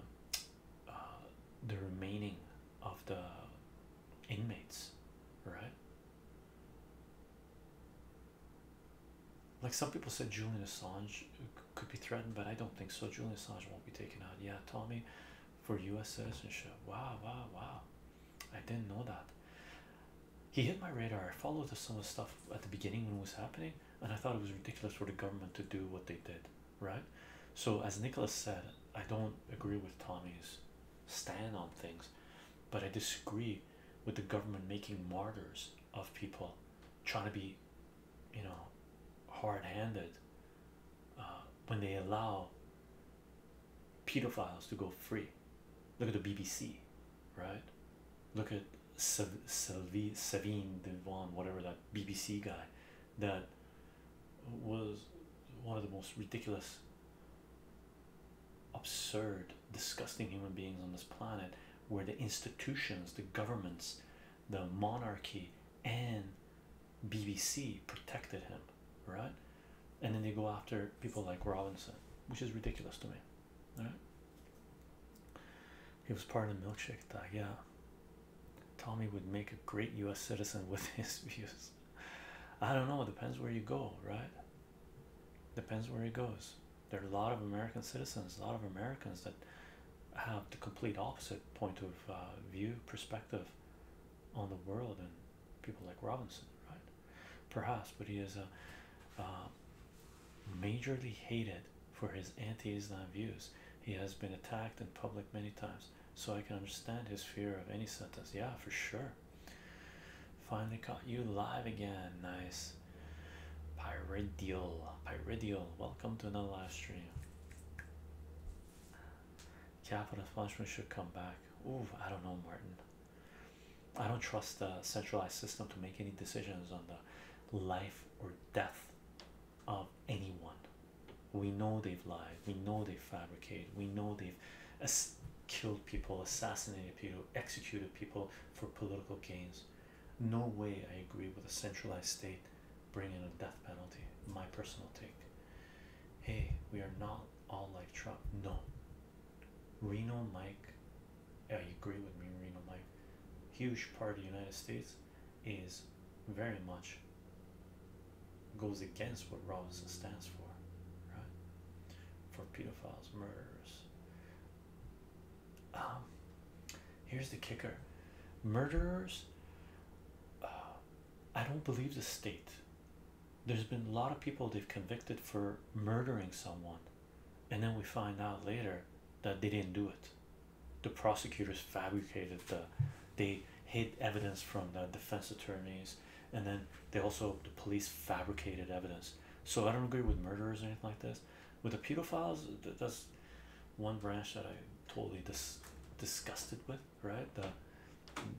Speaker 1: uh, the remaining of the inmates, right? Like some people said, Julian Assange could be threatened, but I don't think so. Julian Assange won't be taken out. Yeah, Tommy, for U.S. citizenship. Wow, wow, wow! I didn't know that. He hit my radar. I followed some of the stuff at the beginning when it was happening, and I thought it was ridiculous for the government to do what they did, right? So as Nicholas said, I don't agree with Tommy's stand on things, but I disagree with the government making martyrs of people trying to be, you know, hard handed uh, when they allow pedophiles to go free. Look at the BBC, right? Look at Sav Savine Devon, whatever that BBC guy that was one of the most ridiculous, absurd, disgusting human beings on this planet, where the institutions, the governments, the monarchy, and BBC protected him, right? And then they go after people like Robinson, which is ridiculous to me. All right. He was part of the milkshake that yeah. Tommy would make a great U.S. citizen with his views. I don't know, it depends where you go, right? Depends where he goes. There are a lot of American citizens, a lot of Americans that have the complete opposite point of uh, view, perspective on the world, and people like Robinson, right? Perhaps, but he is a uh, majorly hated for his anti-Islam views. He has been attacked in public many times so I can understand his fear of any sentence. Yeah, for sure. Finally caught you live again. Nice. Pyridial. Pyridial. Welcome to another live stream. Capital punishment should come back. Ooh, I don't know, Martin. I don't trust the centralized system to make any decisions on the life or death of anyone. We know they've lied. We know they fabricate. We know they've killed people, assassinated people, executed people for political gains. No way I agree with a centralized state bringing a death penalty. My personal take. Hey, we are not all like Trump. No. Reno Mike, I agree with me, Reno Mike. Huge part of the United States is very much goes against what Robinson stands for, right? For pedophiles, murderers. Um, here's the kicker murderers, uh, I don't believe the state. There's been a lot of people they've convicted for murdering someone, and then we find out later that they didn't do it. The prosecutors fabricated the, they hid evidence from the defense attorneys and then they also the police fabricated evidence so i don't agree with murderers or anything like this with the pedophiles that's one branch that i totally dis disgusted with right the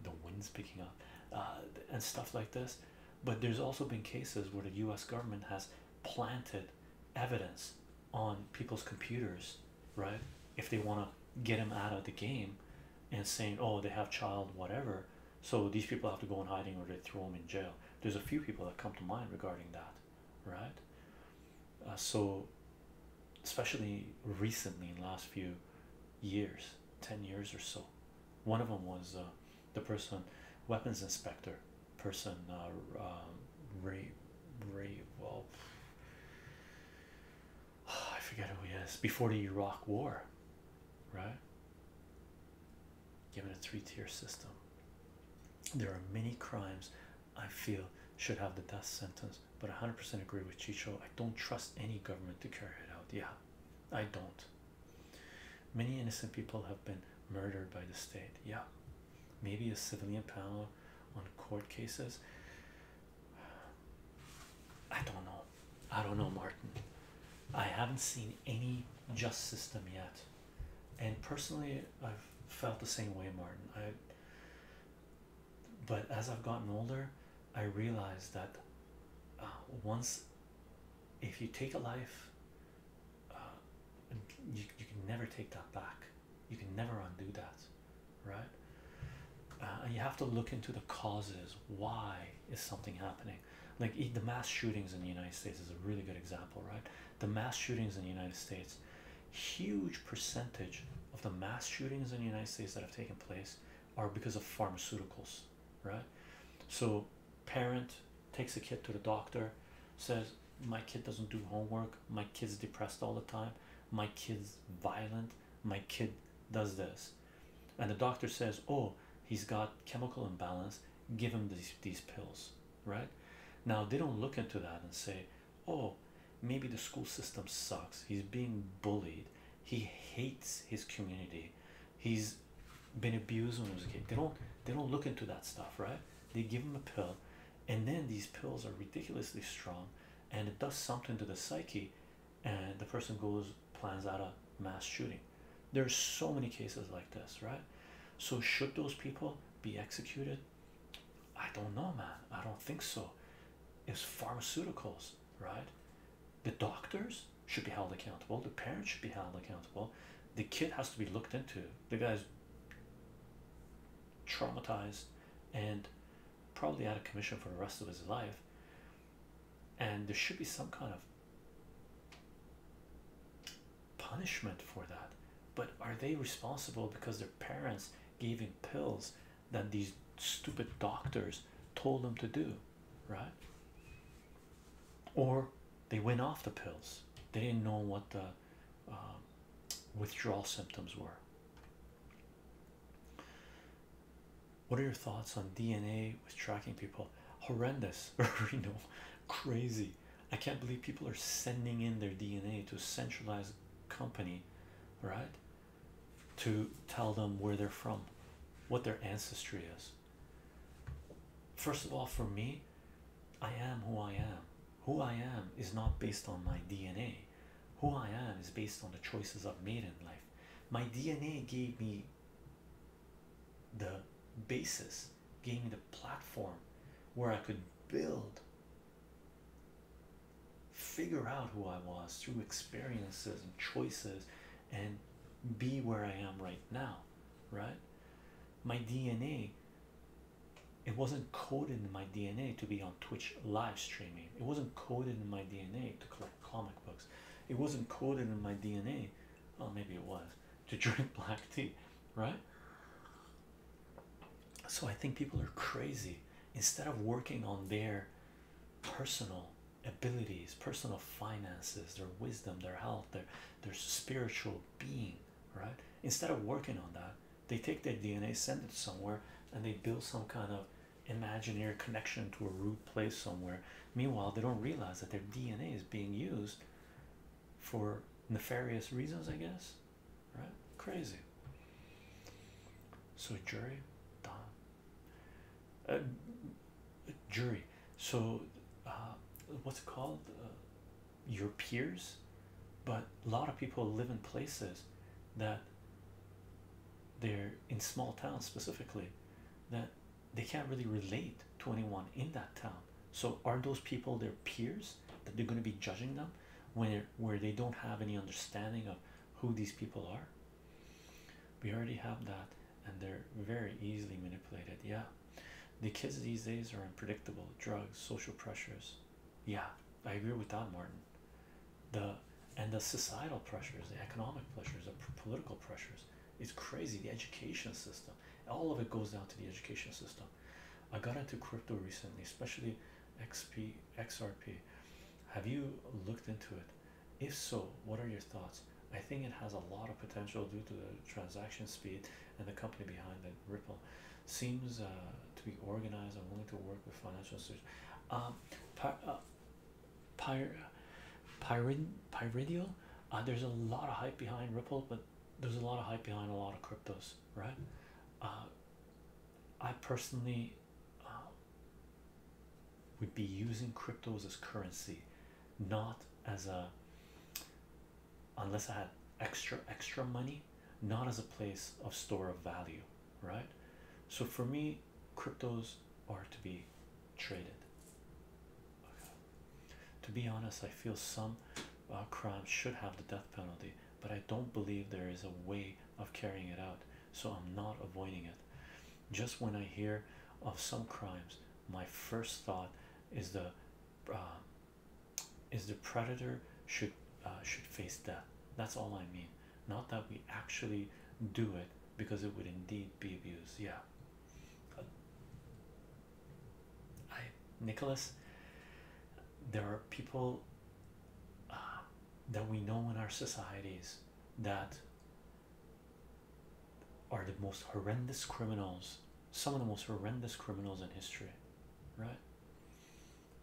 Speaker 1: the winds picking up uh, and stuff like this but there's also been cases where the us government has planted evidence on people's computers right if they want to get them out of the game and saying, oh, they have child, whatever. So these people have to go in hiding or they throw them in jail. There's a few people that come to mind regarding that, right? Uh, so, especially recently in last few years, 10 years or so, one of them was uh, the person, weapons inspector, person, uh, um, Ray, Ray, well, Oh, I forget who he is before the Iraq War, right? Given a three tier system, there are many crimes I feel should have the death sentence, but 100% agree with Chicho. I don't trust any government to carry it out. Yeah, I don't. Many innocent people have been murdered by the state. Yeah, maybe a civilian panel on court cases. I don't know. I don't know, Martin. I haven't seen any just system yet, and personally, I've felt the same way, Martin. I but as I've gotten older, I realized that uh, once if you take a life, uh, you, you can never take that back, you can never undo that, right? Uh, and you have to look into the causes why is something happening like the mass shootings in the united states is a really good example right the mass shootings in the united states huge percentage of the mass shootings in the united states that have taken place are because of pharmaceuticals right so parent takes a kid to the doctor says my kid doesn't do homework my kid's depressed all the time my kid's violent my kid does this and the doctor says oh he's got chemical imbalance give him these these pills right now they don't look into that and say oh maybe the school system sucks he's being bullied he hates his community he's been abused when he was a kid they don't they don't look into that stuff right they give him a pill and then these pills are ridiculously strong and it does something to the psyche and the person goes plans out a mass shooting there's so many cases like this right so should those people be executed i don't know man i don't think so it's pharmaceuticals right the doctors should be held accountable the parents should be held accountable the kid has to be looked into the guy's traumatized and probably out of commission for the rest of his life and there should be some kind of punishment for that. But are they responsible because their parents gave him pills that these stupid doctors told them to do, right? Or they went off the pills, they didn't know what the um, withdrawal symptoms were. What are your thoughts on DNA with tracking people? Horrendous, you know, crazy. I can't believe people are sending in their DNA to a centralized company, right? To tell them where they're from, what their ancestry is. First of all, for me, I am who I am. Who I am is not based on my DNA. Who I am is based on the choices I've made in life. My DNA gave me the basis giving the platform where I could build figure out who I was through experiences and choices and be where I am right now right my DNA it wasn't coded in my DNA to be on Twitch live streaming it wasn't coded in my DNA to comic books. It wasn't coded in my DNA. Well, maybe it was to drink black tea, right? So I think people are crazy instead of working on their personal abilities, personal finances, their wisdom, their health, their their spiritual being, right? Instead of working on that, they take their DNA, send it somewhere, and they build some kind of imaginary connection to a root place somewhere. Meanwhile, they don't realize that their DNA is being used for nefarious reasons, I guess. Right? Crazy. So, jury, Don. Uh, jury. So, uh, what's called? Uh, your peers. But a lot of people live in places that they're in small towns specifically that they can't really relate to anyone in that town. So are those people their peers that they're going to be judging them when where they don't have any understanding of who these people are? We already have that, and they're very easily manipulated. Yeah, the kids these days are unpredictable. Drugs, social pressures. Yeah, I agree with that, Martin. The and the societal pressures, the economic pressures, the political pressures. It's crazy. The education system, all of it goes down to the education system. I got into crypto recently, especially XP, XRP. Have you looked into it? If so, what are your thoughts? I think it has a lot of potential due to the transaction speed and the company behind it. Ripple seems uh, to be organized and willing to work with financial institutions. Um, uh, Pyr Pyrid Pyridial. Uh, there's a lot of hype behind Ripple, but there's a lot of hype behind a lot of cryptos, right? Uh, I personally uh, would be using cryptos as currency, not as a unless I had extra extra money, not as a place of store of value, right? So for me, cryptos are to be traded to be honest, I feel some uh, crimes should have the death penalty, but I don't believe there is a way of carrying it out, so I'm not avoiding it. Just when I hear of some crimes, my first thought is the uh, is the predator should uh, should face death. That's all I mean. Not that we actually do it because it would indeed be abused. Yeah. I Nicholas there are people uh, that we know in our societies that are the most horrendous criminals some of the most horrendous criminals in history right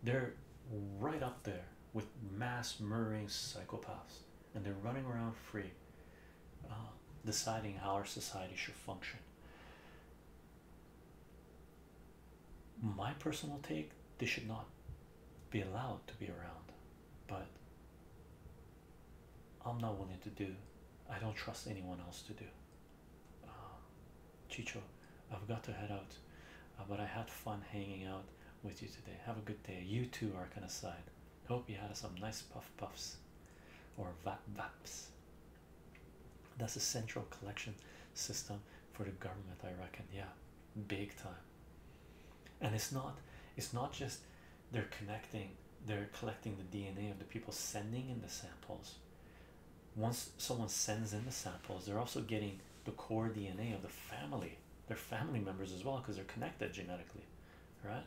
Speaker 1: they're right up there with mass murdering psychopaths and they're running around free, uh, deciding how our society should function. My personal take they should not be allowed to be around, but I'm not willing to do. I don't trust anyone else to do. Uh, Chicho, I've got to head out, uh, but I had fun hanging out with you today. Have a good day. You too, Arcanaside. I Hope you had some nice puff puffs or vap vaps. That's a central collection system for the government, I reckon. Yeah, big time. And it's not it's not just they're connecting, they're collecting the DNA of the people sending in the samples. Once someone sends in the samples, they're also getting the core DNA of the family, their family members as well, because they're connected genetically, right?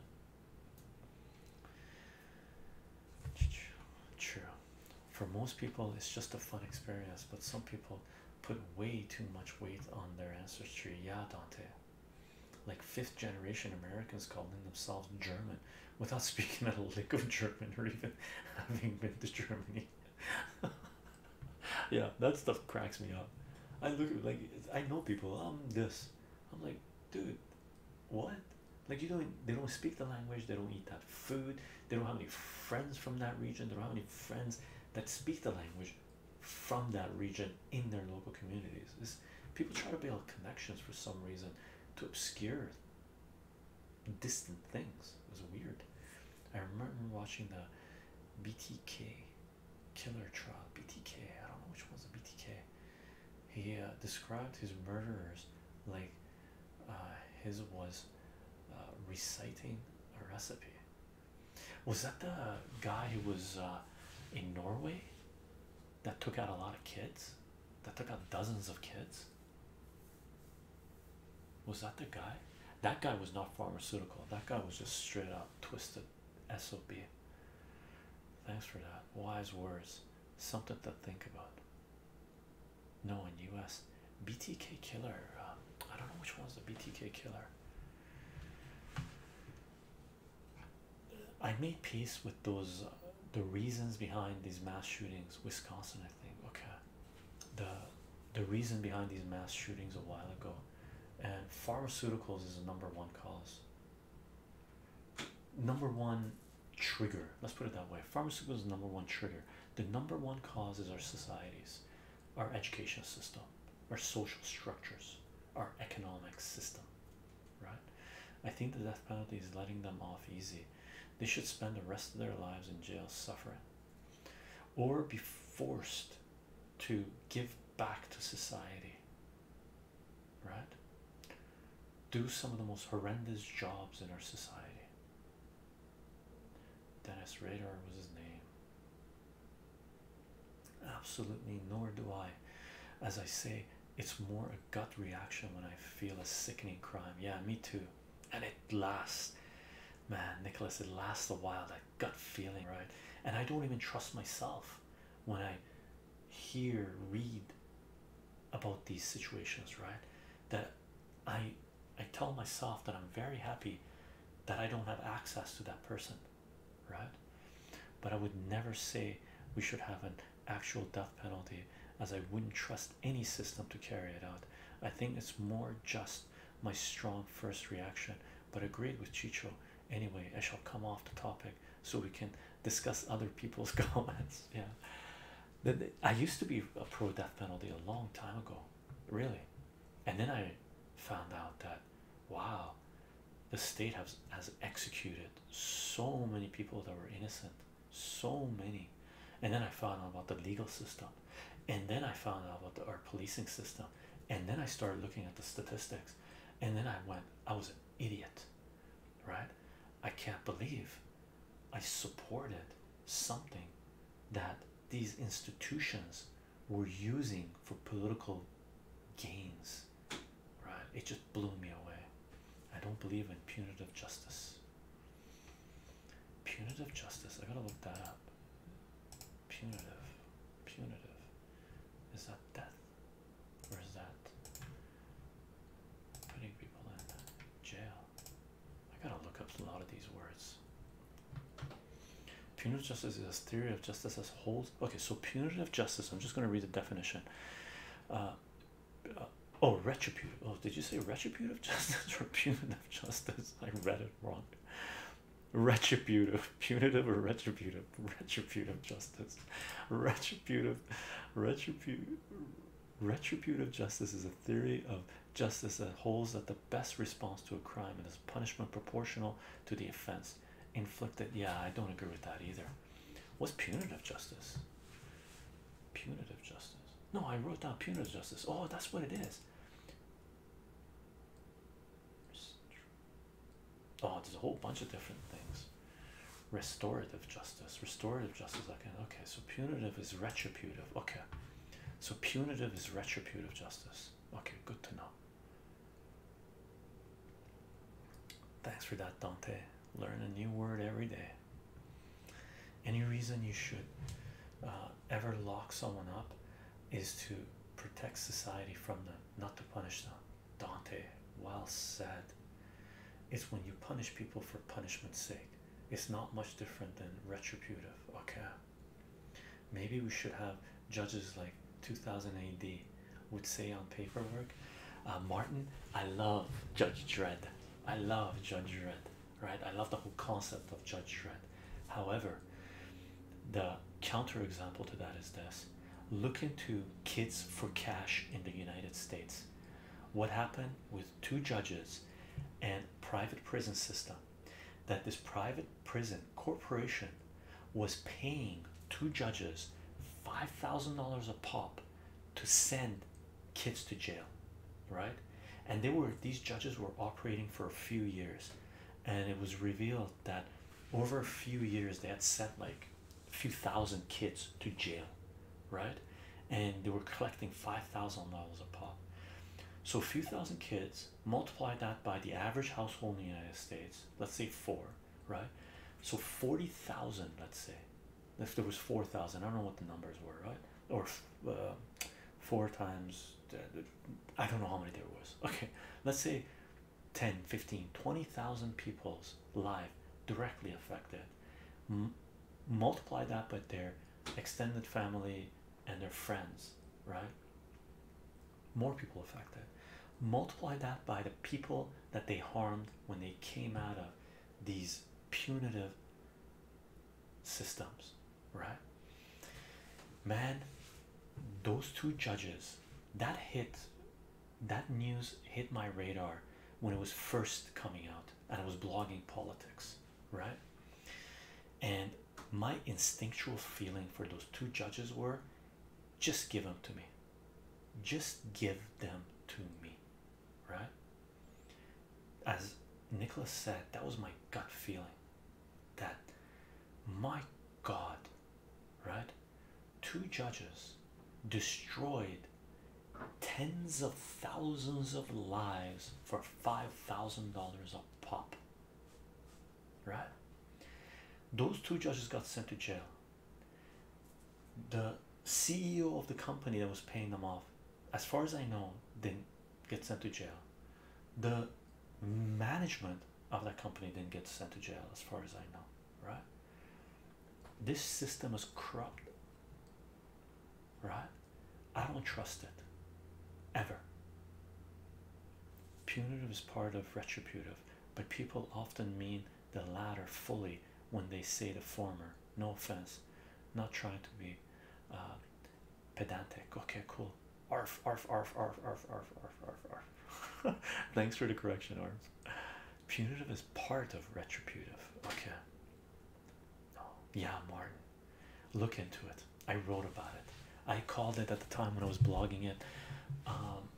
Speaker 1: True. For most people, it's just a fun experience, but some people put way too much weight on their ancestry. Yeah, Dante. Like fifth generation Americans calling themselves German without speaking a lick of German or even having been to Germany. yeah, that stuff cracks me up. I look like I know people. I'm um, this. I'm like, dude, what like you don't they don't speak the language they don't eat that food they don't have any friends from that region they don't have any friends that speak the language from that region in their local communities it's, people try to build connections for some reason to obscure distant things it was weird i remember watching the btk killer trial btk i don't know which was the btk he uh, described his murderers like uh, his was uh, reciting a recipe. Was that the guy who was in Norway that took out a lot of kids? That took out dozens of kids? Was that the guy? That guy was not pharmaceutical. That guy was just straight up twisted SOP. Thanks for that. Wise words. Something to think about. No, one US. BTK killer. Um, I don't know which one's the BTK killer. I made peace with those, uh, the reasons behind these mass shootings. Wisconsin, I think. Okay, the the reason behind these mass shootings a while ago, and pharmaceuticals is the number one cause number one trigger let's put it that way pharmaceuticals number one trigger the number one cause is our societies our education system our social structures our economic system right i think the death penalty is letting them off easy they should spend the rest of their lives in jail suffering or be forced to give back to society right? Do some of the most horrendous jobs in our society. Dennis Radar was his name. Absolutely, nor do I. As I say, it's more a gut reaction when I feel a sickening crime. Yeah, me too. And it lasts, man, Nicholas, it lasts a while. That gut feeling, right? And I don't even trust myself when I hear, read about these situations, right? That I I tell myself that I'm very happy that I don't have access to that person, right? But I would never say we should have an actual death penalty as I wouldn't trust any system to carry it out. I think it's more just my strong first reaction, but agreed with Chicho. Anyway, I shall come off the topic so we can discuss other people's comments. Yeah, I used to be a pro death penalty a long time ago, really, and then I found out that wow, the state has has executed so many people that were innocent, so many, and then I found out about the legal system, and then I found out about our policing system, and then I started looking at the statistics, and then I went, I was an idiot right? I can't believe I supported something that these institutions were using for political gains, right? It just blew me away. I don't believe in punitive justice. Punitive justice, I gotta look that up. Punitive, punitive. Is that death? Where's that? Putting people in jail. I gotta look up a lot of these words. Punitive justice is a theory of justice as holds. Okay, so punitive justice. I'm just gonna read the definition. Uh, uh oh, retributive. Oh, did you say retributive justice or punitive justice? I read it wrong. Retributive, punitive, or retributive? Retributive justice justice. Retributive, retributive, retributive justice is a theory of justice that holds that the best response to a crime is punishment proportional to the offense inflicted. Yeah, I don't agree with that either. What's punitive justice? Punitive justice. No, I wrote down punitive justice. Oh, that's what it is oh there's a whole bunch of different things restorative justice restorative justice okay so punitive is retributive okay so punitive is retributive justice okay good to know thanks for that dante learn a new word every day any reason you should uh, ever lock someone up is to protect society from them not to punish them Dante, well said. It's when you punish people for punishment's sake. It's not much different than retributive. Okay. Maybe we should have judges like 2000 AD would say on paperwork. Uh, Martin, I love Judge Dredd. I love Judge Dredd, right? I love the whole concept of Judge Dredd. However, the counterexample to that is this Looking to kids for cash in the United States. What happened with two judges and private prison system that this private prison corporation was paying two judges five thousand dollars a pop to send kids to jail right and they were these judges were operating for a few years and it was revealed that over a few years they had sent like few thousand kids to jail, right? And they were collecting five thousand dollars a pop. So a few thousand kids, multiply that by the average household in the United States, let's say four, right? So forty thousand, let's say, if there was four thousand, I don't know what the numbers were, right? Or uh, four times, uh, I don't know how many there was. Okay, let's say. 10 15 20,000 people's life directly affected multiply that by their extended family and their friends, right? More people affected. Multiply that by the people that they harmed when they came out of these punitive systems, right? Man, those two judges that hit that news hit my radar when it was first coming out and I was blogging politics, right? And my instinctual feeling for those two judges were just give them to me, just give them to me, right? As Nicholas said, that was my gut feeling that my God, right? two judges destroyed tens of thousands of lives for five thousand dollars a pop. Right? Those two judges got sent to jail. The CEO of the company that was paying them off, as far as I know, didn't get sent to jail. The management of that company didn't get sent to jail, as far as I know, right? this system is corrupt right i don't trust it ever punitive is part of retributive but people often mean the latter fully when they say the former no offense not trying to be uh, pedantic okay cool arf arf arf arf arf arf arf arf arf thanks for the correction Arf. Punitive is part of retributive. Okay. Yeah, Martin. Look into it. I wrote about it. I called it at the time when I was blogging it. Um,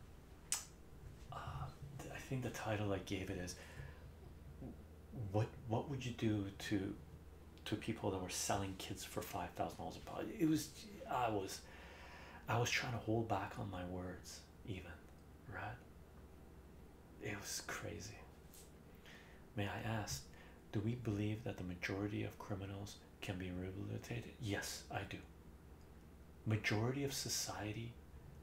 Speaker 1: uh, I think the title I gave it is "What What would you do to to people that were selling kids for five thousand dollars a pop?" It was I was I was trying to hold back on my words even right? It was crazy. May I ask, do we believe that the majority of criminals can be rehabilitated? Yes, I do. Majority of society,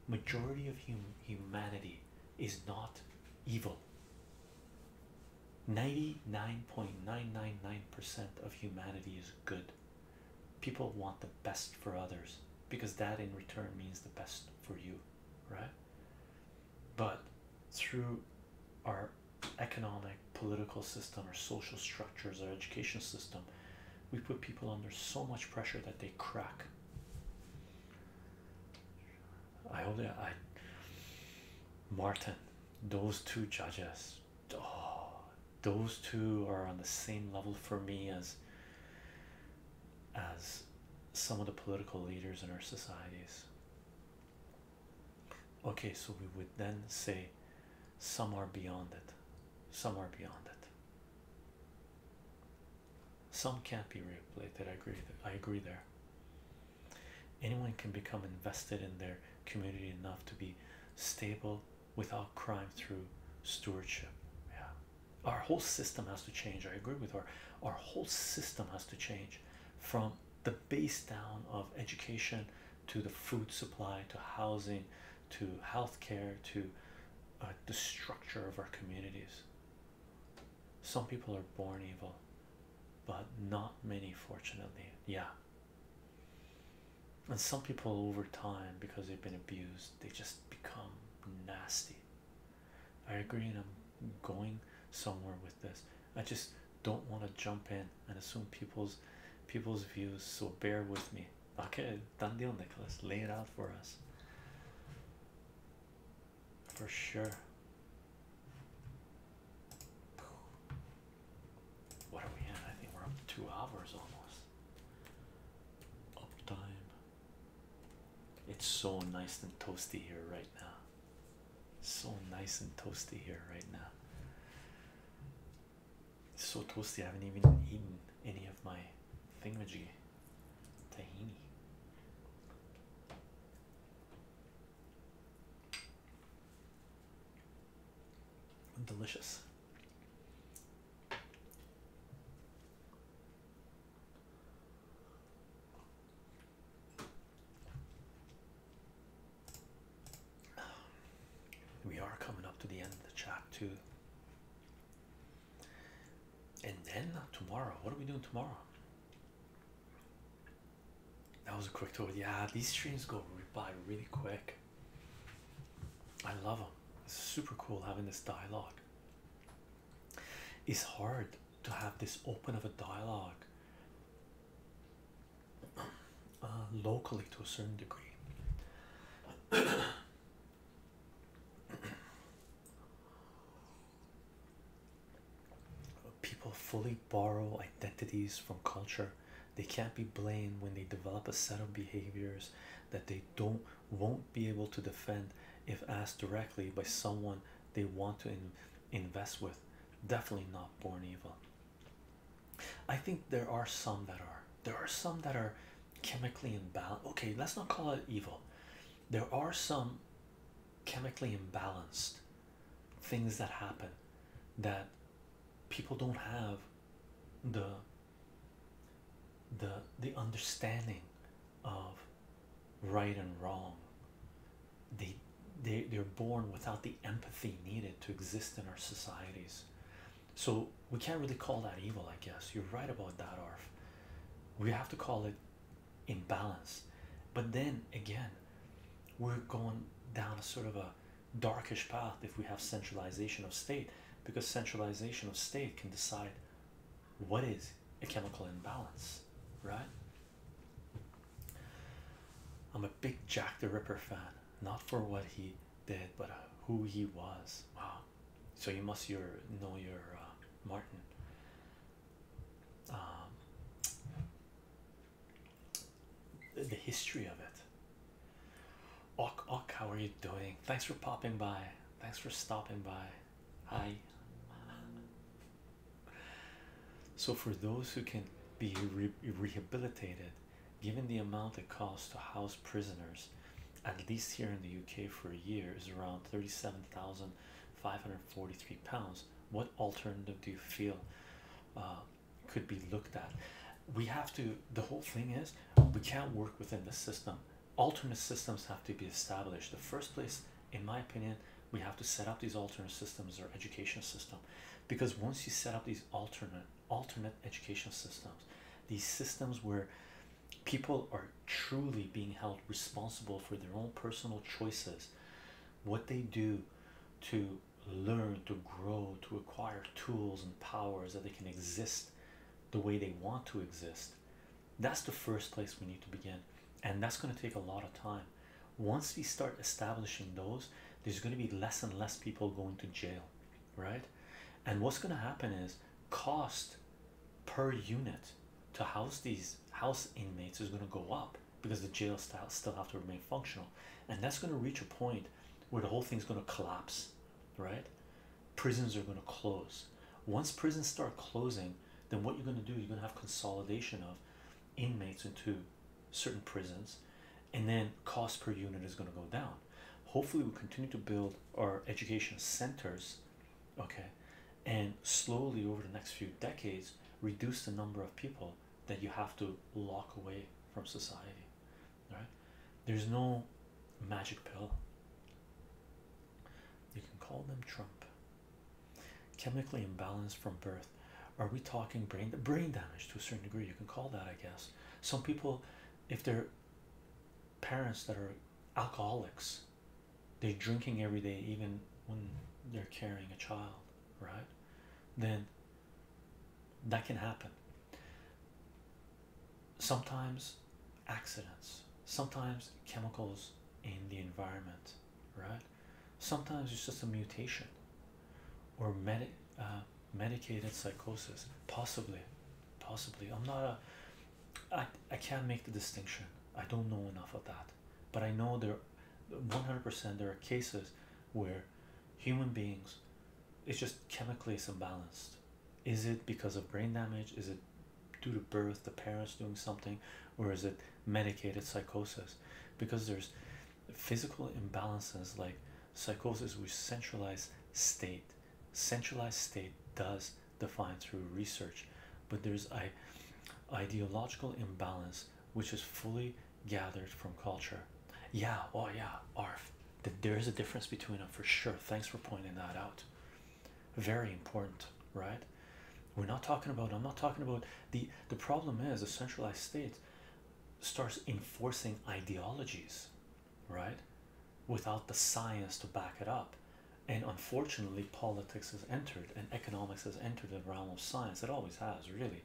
Speaker 1: majority of hum humanity is not evil. 99.999% of humanity is good. People want the best for others because that in return means the best for you, right? But through our economic, political system, our social structures, our education system, we put people under so much pressure that they crack. I only I Martin, those two judges, oh, those two are on the same level for me as as some of the political leaders in our societies. Okay, so we would then say some are beyond it, some are beyond it. Some can't be replated. I agree. I agree there. Anyone can become invested in their community enough to be stable without crime through stewardship. Yeah. Our whole system has to change. I agree with her. Our whole system has to change from the base down of education to the food supply to housing to healthcare to uh, the structure of our communities. Some people are born evil, but not many, fortunately. Yeah. And some people over time, because they've been abused, they just become nasty I agree, and I'm going somewhere with this. I just don't want to jump in and assume people's people's views. So bear with me. Okay, done deal, Nicholas. Lay it out for us. For sure. What are we in? I think we're up to two hours almost. Up time. It's so nice and toasty here right now. So nice and toasty here right now. so toasty, I haven't even eaten any of my thingamajig tahini. Delicious. We are coming up to the end of the chat too, and then tomorrow. What are we doing tomorrow? That was a quick tour. Yeah, these streams go by really quick. I love them. It's super cool having this dialogue it's hard to have this open of a dialogue uh, locally to a certain degree. People fully borrow identities from culture. They can't be blamed when they develop a set of behaviors that they don't won't be able to defend if asked directly by someone they want to in invest with. Definitely not born evil. I think there are some that are. There are some that are chemically imbalanced. Okay, let's not call it evil. There are some chemically imbalanced things that happen that people don't have the the the understanding of right and wrong they they they're born without the empathy needed to exist in our societies so we can't really call that evil i guess you're right about that arf we have to call it imbalance but then again we're going down a sort of a darkish path if we have centralization of state because centralization of state can decide what is a chemical imbalance, right? I'm a big Jack the Ripper fan, not for what he did, but uh, who he was. Wow. So you must your know your uh, Martin. Um, the history of it. Ok, ok, how are you doing? Thanks for popping by. Thanks for stopping by. Hi. So, for those who can be rehabilitated, given the amount it costs to house prisoners, at least here in the UK for a year, is around 37,543 pounds. What alternative do you feel uh, could be looked at? We have to, the whole thing is, we can't work within the system alternate systems have to be established. The first place, in my opinion, we have to set up these alternate systems or education system, because once you set up these alternate alternate education systems, these systems where people are truly being held responsible for their own personal choices, what they do to learn, to grow, to acquire tools and powers that they can exist the way they want to exist that's the first place we need to begin, and that's going to take a lot of time. Once we start establishing those, there's going to be less and less people going to jail, right? And what's going to happen is cost per unit to house these house inmates is going to go up because the jail style still have to remain functional, and that's going to reach a point where the whole thing's going to collapse, right? Prisons are going to close. Once prisons start closing, then what you're going to do, you're going to have consolidation of inmates into certain prisons, and then cost per unit is going to go down. Hopefully, we continue to build our education centers, okay, and slowly over the next few decades, reduce the number of people that you have to lock away from society. Right? There's no magic pill. You can call them Trump. Chemically imbalanced from birth. Are we talking brain brain damage to a certain degree? You can call that, I guess. Some people, if their parents that are alcoholics, they're drinking every day, even when they're carrying a child, right? Then that can happen. Sometimes accidents sometimes chemicals in the environment, right? Sometimes it's just a mutation or medic, uh, medicated psychosis, possibly, possibly. I'm not a, I, I can't make the distinction. I don't know enough of that, but I know there, 100% there are cases where human beings, it's just chemically it's imbalanced. Is it because of brain damage? Is it due to birth, the parents doing something, or is it medicated psychosis? Because there's physical imbalances like psychosis, which centralized state, centralized state does define through research, but there's a ideological imbalance which is fully gathered from culture. Yeah, oh yeah, Arf. There is a difference between them for sure. Thanks for pointing that out very important right we're not talking about i'm not talking about the the problem is a centralized state starts enforcing ideologies right without the science to back it up and unfortunately politics has entered and economics has entered the realm of science it always has really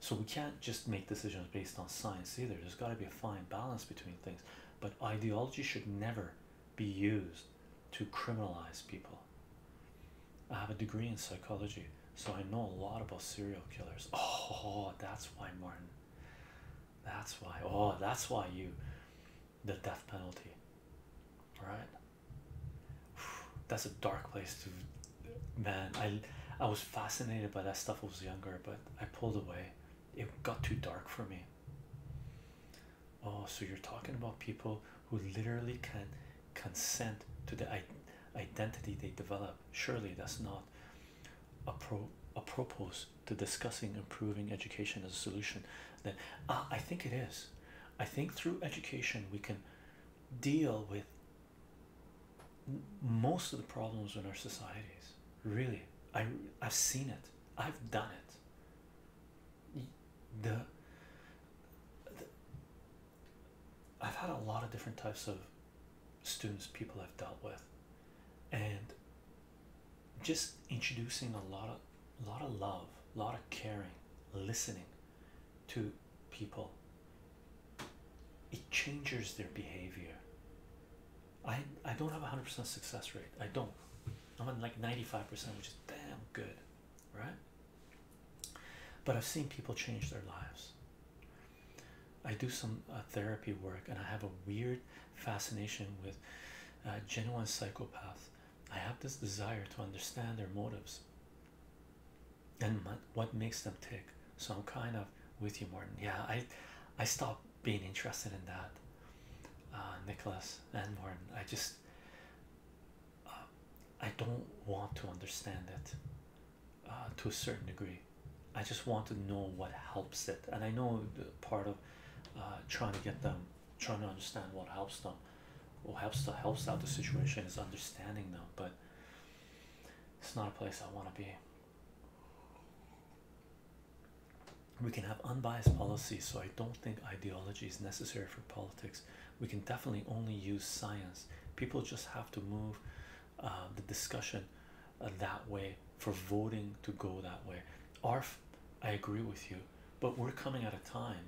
Speaker 1: so we can't just make decisions based on science either there's got to be a fine balance between things but ideology should never be used to criminalize people. I have a degree in psychology, so I know a lot about serial killers. Oh, that's why, Martin. That's why. Oh, that's why you, the death penalty. Right? That's a dark place to, man. I, I was fascinated by that stuff. I was younger, but I pulled away. It got too dark for me. Oh, so you're talking about people who literally can consent to the identity they develop. Surely that's not a pro apropos to discussing improving education as a solution. Then uh, I think it is. I think through education we can deal with most of the problems in our societies. Really, I I've seen it. I've done it the, I've had a lot of different types of students, people I've dealt with, and just introducing a lot of, lot of love, a lot of caring, listening to people. It changes their behavior. I I don't have a hundred percent success rate. I don't. I'm at like ninety five percent, which is damn good right? But I've seen people change their lives. I do some uh, therapy work and I have a weird fascination with uh, genuine psychopaths. I have this desire to understand their motives and what makes them tick. So I'm kind of with you, Martin. Yeah, I, I stopped being interested in that, uh, Nicholas and Martin. I just, I don't want to understand it uh, to a certain degree. I just want to know what helps it, and I know part of uh, trying to get them, trying to understand what helps them, what helps to helps out the situation is understanding them. But it's not a place I want to be. We can have unbiased policy, so I don't think ideology is necessary for politics we can definitely only use science people just have to move uh, the discussion uh, that way for voting to go that way arf i agree with you but we're coming out of time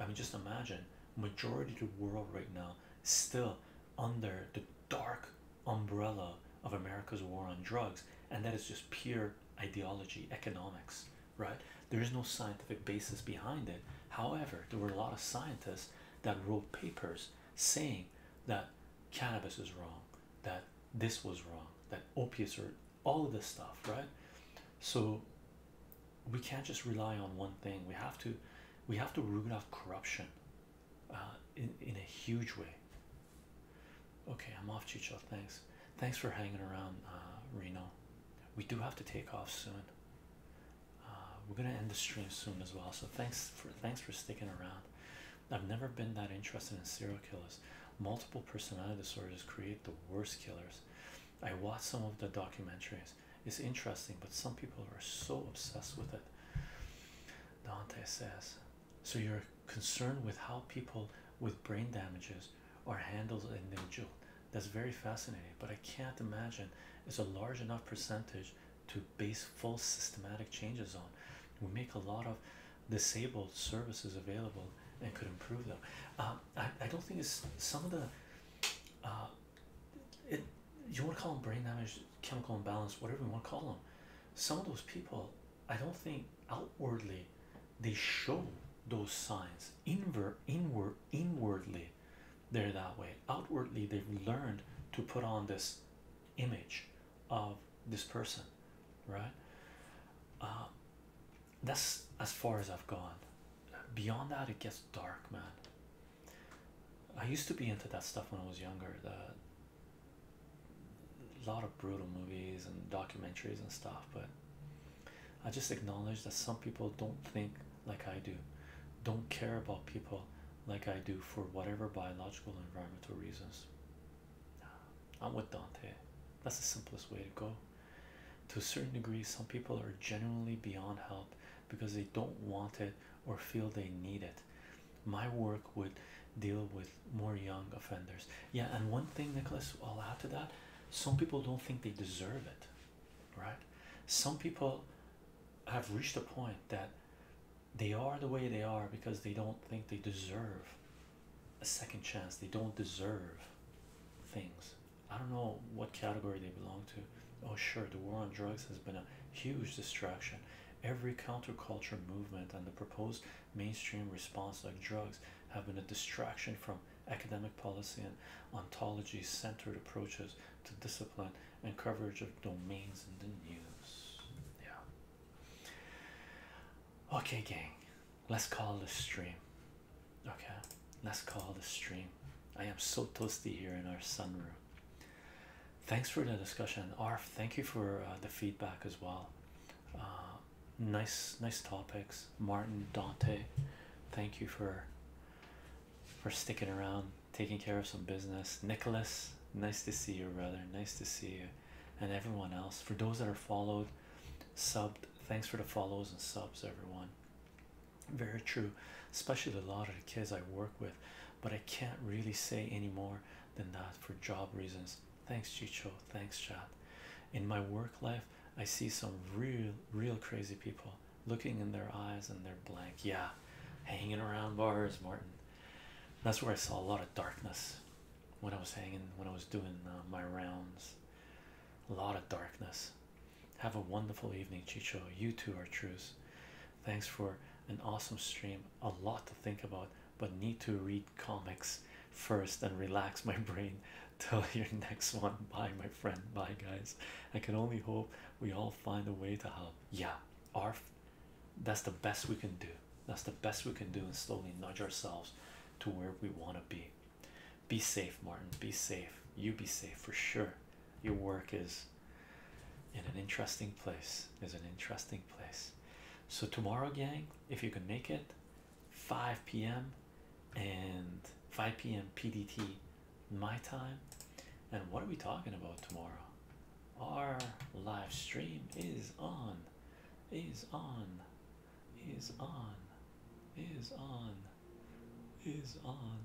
Speaker 1: i mean just imagine majority of the world right now still under the dark umbrella of america's war on drugs and that is just pure ideology economics right? There is no scientific basis behind it. However, there were a lot of scientists that wrote papers saying that cannabis is wrong, that this was wrong, that opiates are all of this stuff, right? So we can't just rely on one thing. We have to, we have to root out corruption uh, in in a huge way. Okay, I'm off, Chicho. Thanks. Thanks for hanging around, uh, Reno. We do have to take off soon. Uh, we're gonna end the stream soon as well. So thanks for thanks for sticking around. I've never been that interested in serial killers. Multiple personality disorders create the worst killers. I watched some of the documentaries. It's interesting, but some people are so obsessed with it. Dante says, so you're concerned with how people with brain damages or handles an individual. That's very fascinating, but I can't imagine it's a large enough percentage to base full systematic changes on. We make a lot of disabled services available and could improve them. Uh, I, I don't think it's some of the uh, it you want to call them brain damage, chemical imbalance, whatever you want to call them. Some of those people, I don't think outwardly they show those signs. Inver inward inwardly they're that way outwardly they've learned to put on this image of this person right uh, that's as far as i've gone beyond that it gets dark man i used to be into that stuff when i was younger a lot of brutal movies and documentaries and stuff but I just acknowledge that some people don't think like I do, don't care about people like I do for whatever biological environmental reasons. I'm with Dante. That's the simplest way to go. To a certain degree, some people are genuinely beyond help because they don't want it or feel they need it. My work would deal with more young offenders. Yeah, and one thing, Nicholas, I'll add to that some people don't think they deserve it right some people have reached a point that they are the way they are because they don't think they deserve a second chance they don't deserve things i don't know what category they belong to oh sure the war on drugs has been a huge distraction every counterculture movement and the proposed mainstream response like drugs have been a distraction from academic policy and ontology centered approaches to discipline and coverage of domains in the news. Yeah. Okay, gang, let's call the stream. Okay, let's call the stream. I am so toasty here in our sunroom. Thanks for the discussion, Arf. Thank you for uh, the feedback as well. Uh, nice, nice topics, Martin Dante. Thank you for for sticking around, taking care of some business. Nicholas, nice to see you, brother. Nice to see you, and everyone else. For those that are followed, subbed, thanks for the follows and subs, everyone. Very true, especially a lot of the kids I work with, but I can't really say any more than that for job reasons. Thanks, Chicho. Thanks, Chad. In my work life, I see some real, real crazy people looking in their eyes and they're blank. Yeah, hanging around bars, Martin. That's where I saw a lot of darkness when I was hanging, when I was doing uh, my rounds. A lot of darkness. Have a wonderful evening, Chicho. You too are truce. Thanks for an awesome stream. A lot to think about, but need to read comics first and relax my brain till your next one. Bye, my friend. Bye, guys. I can only hope we all find a way to help. Yeah, ARF, that's the best we can do. That's the best we can do, and slowly nudge ourselves to where we want to be. Be safe, Martin. Be safe. You be safe for sure. Your work is in an interesting place. Is an interesting place. So tomorrow, gang, if you can make it, 5 p.m and 5 p.m. PDT my time. And what are we talking about tomorrow? Our live stream is on, is on, is on, is on, is on.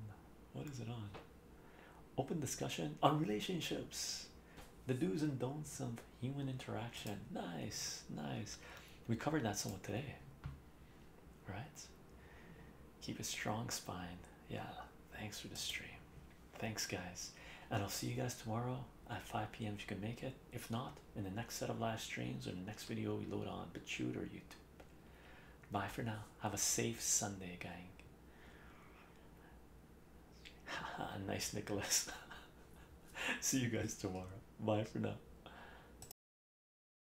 Speaker 1: What is it on? Open discussion on relationships, the do's and don'ts of human interaction. Nice, nice. We covered that somewhat today right? Keep a strong spine. Yeah, thanks for the stream. Thanks, guys. And I'll see you guys tomorrow at 5 p.m. if you can make it. If not, in the next set of live streams or the next video we load on BitChute or YouTube. Bye for now. Have a safe Sunday, gang. nice, Nicholas. see you guys tomorrow. Bye for now.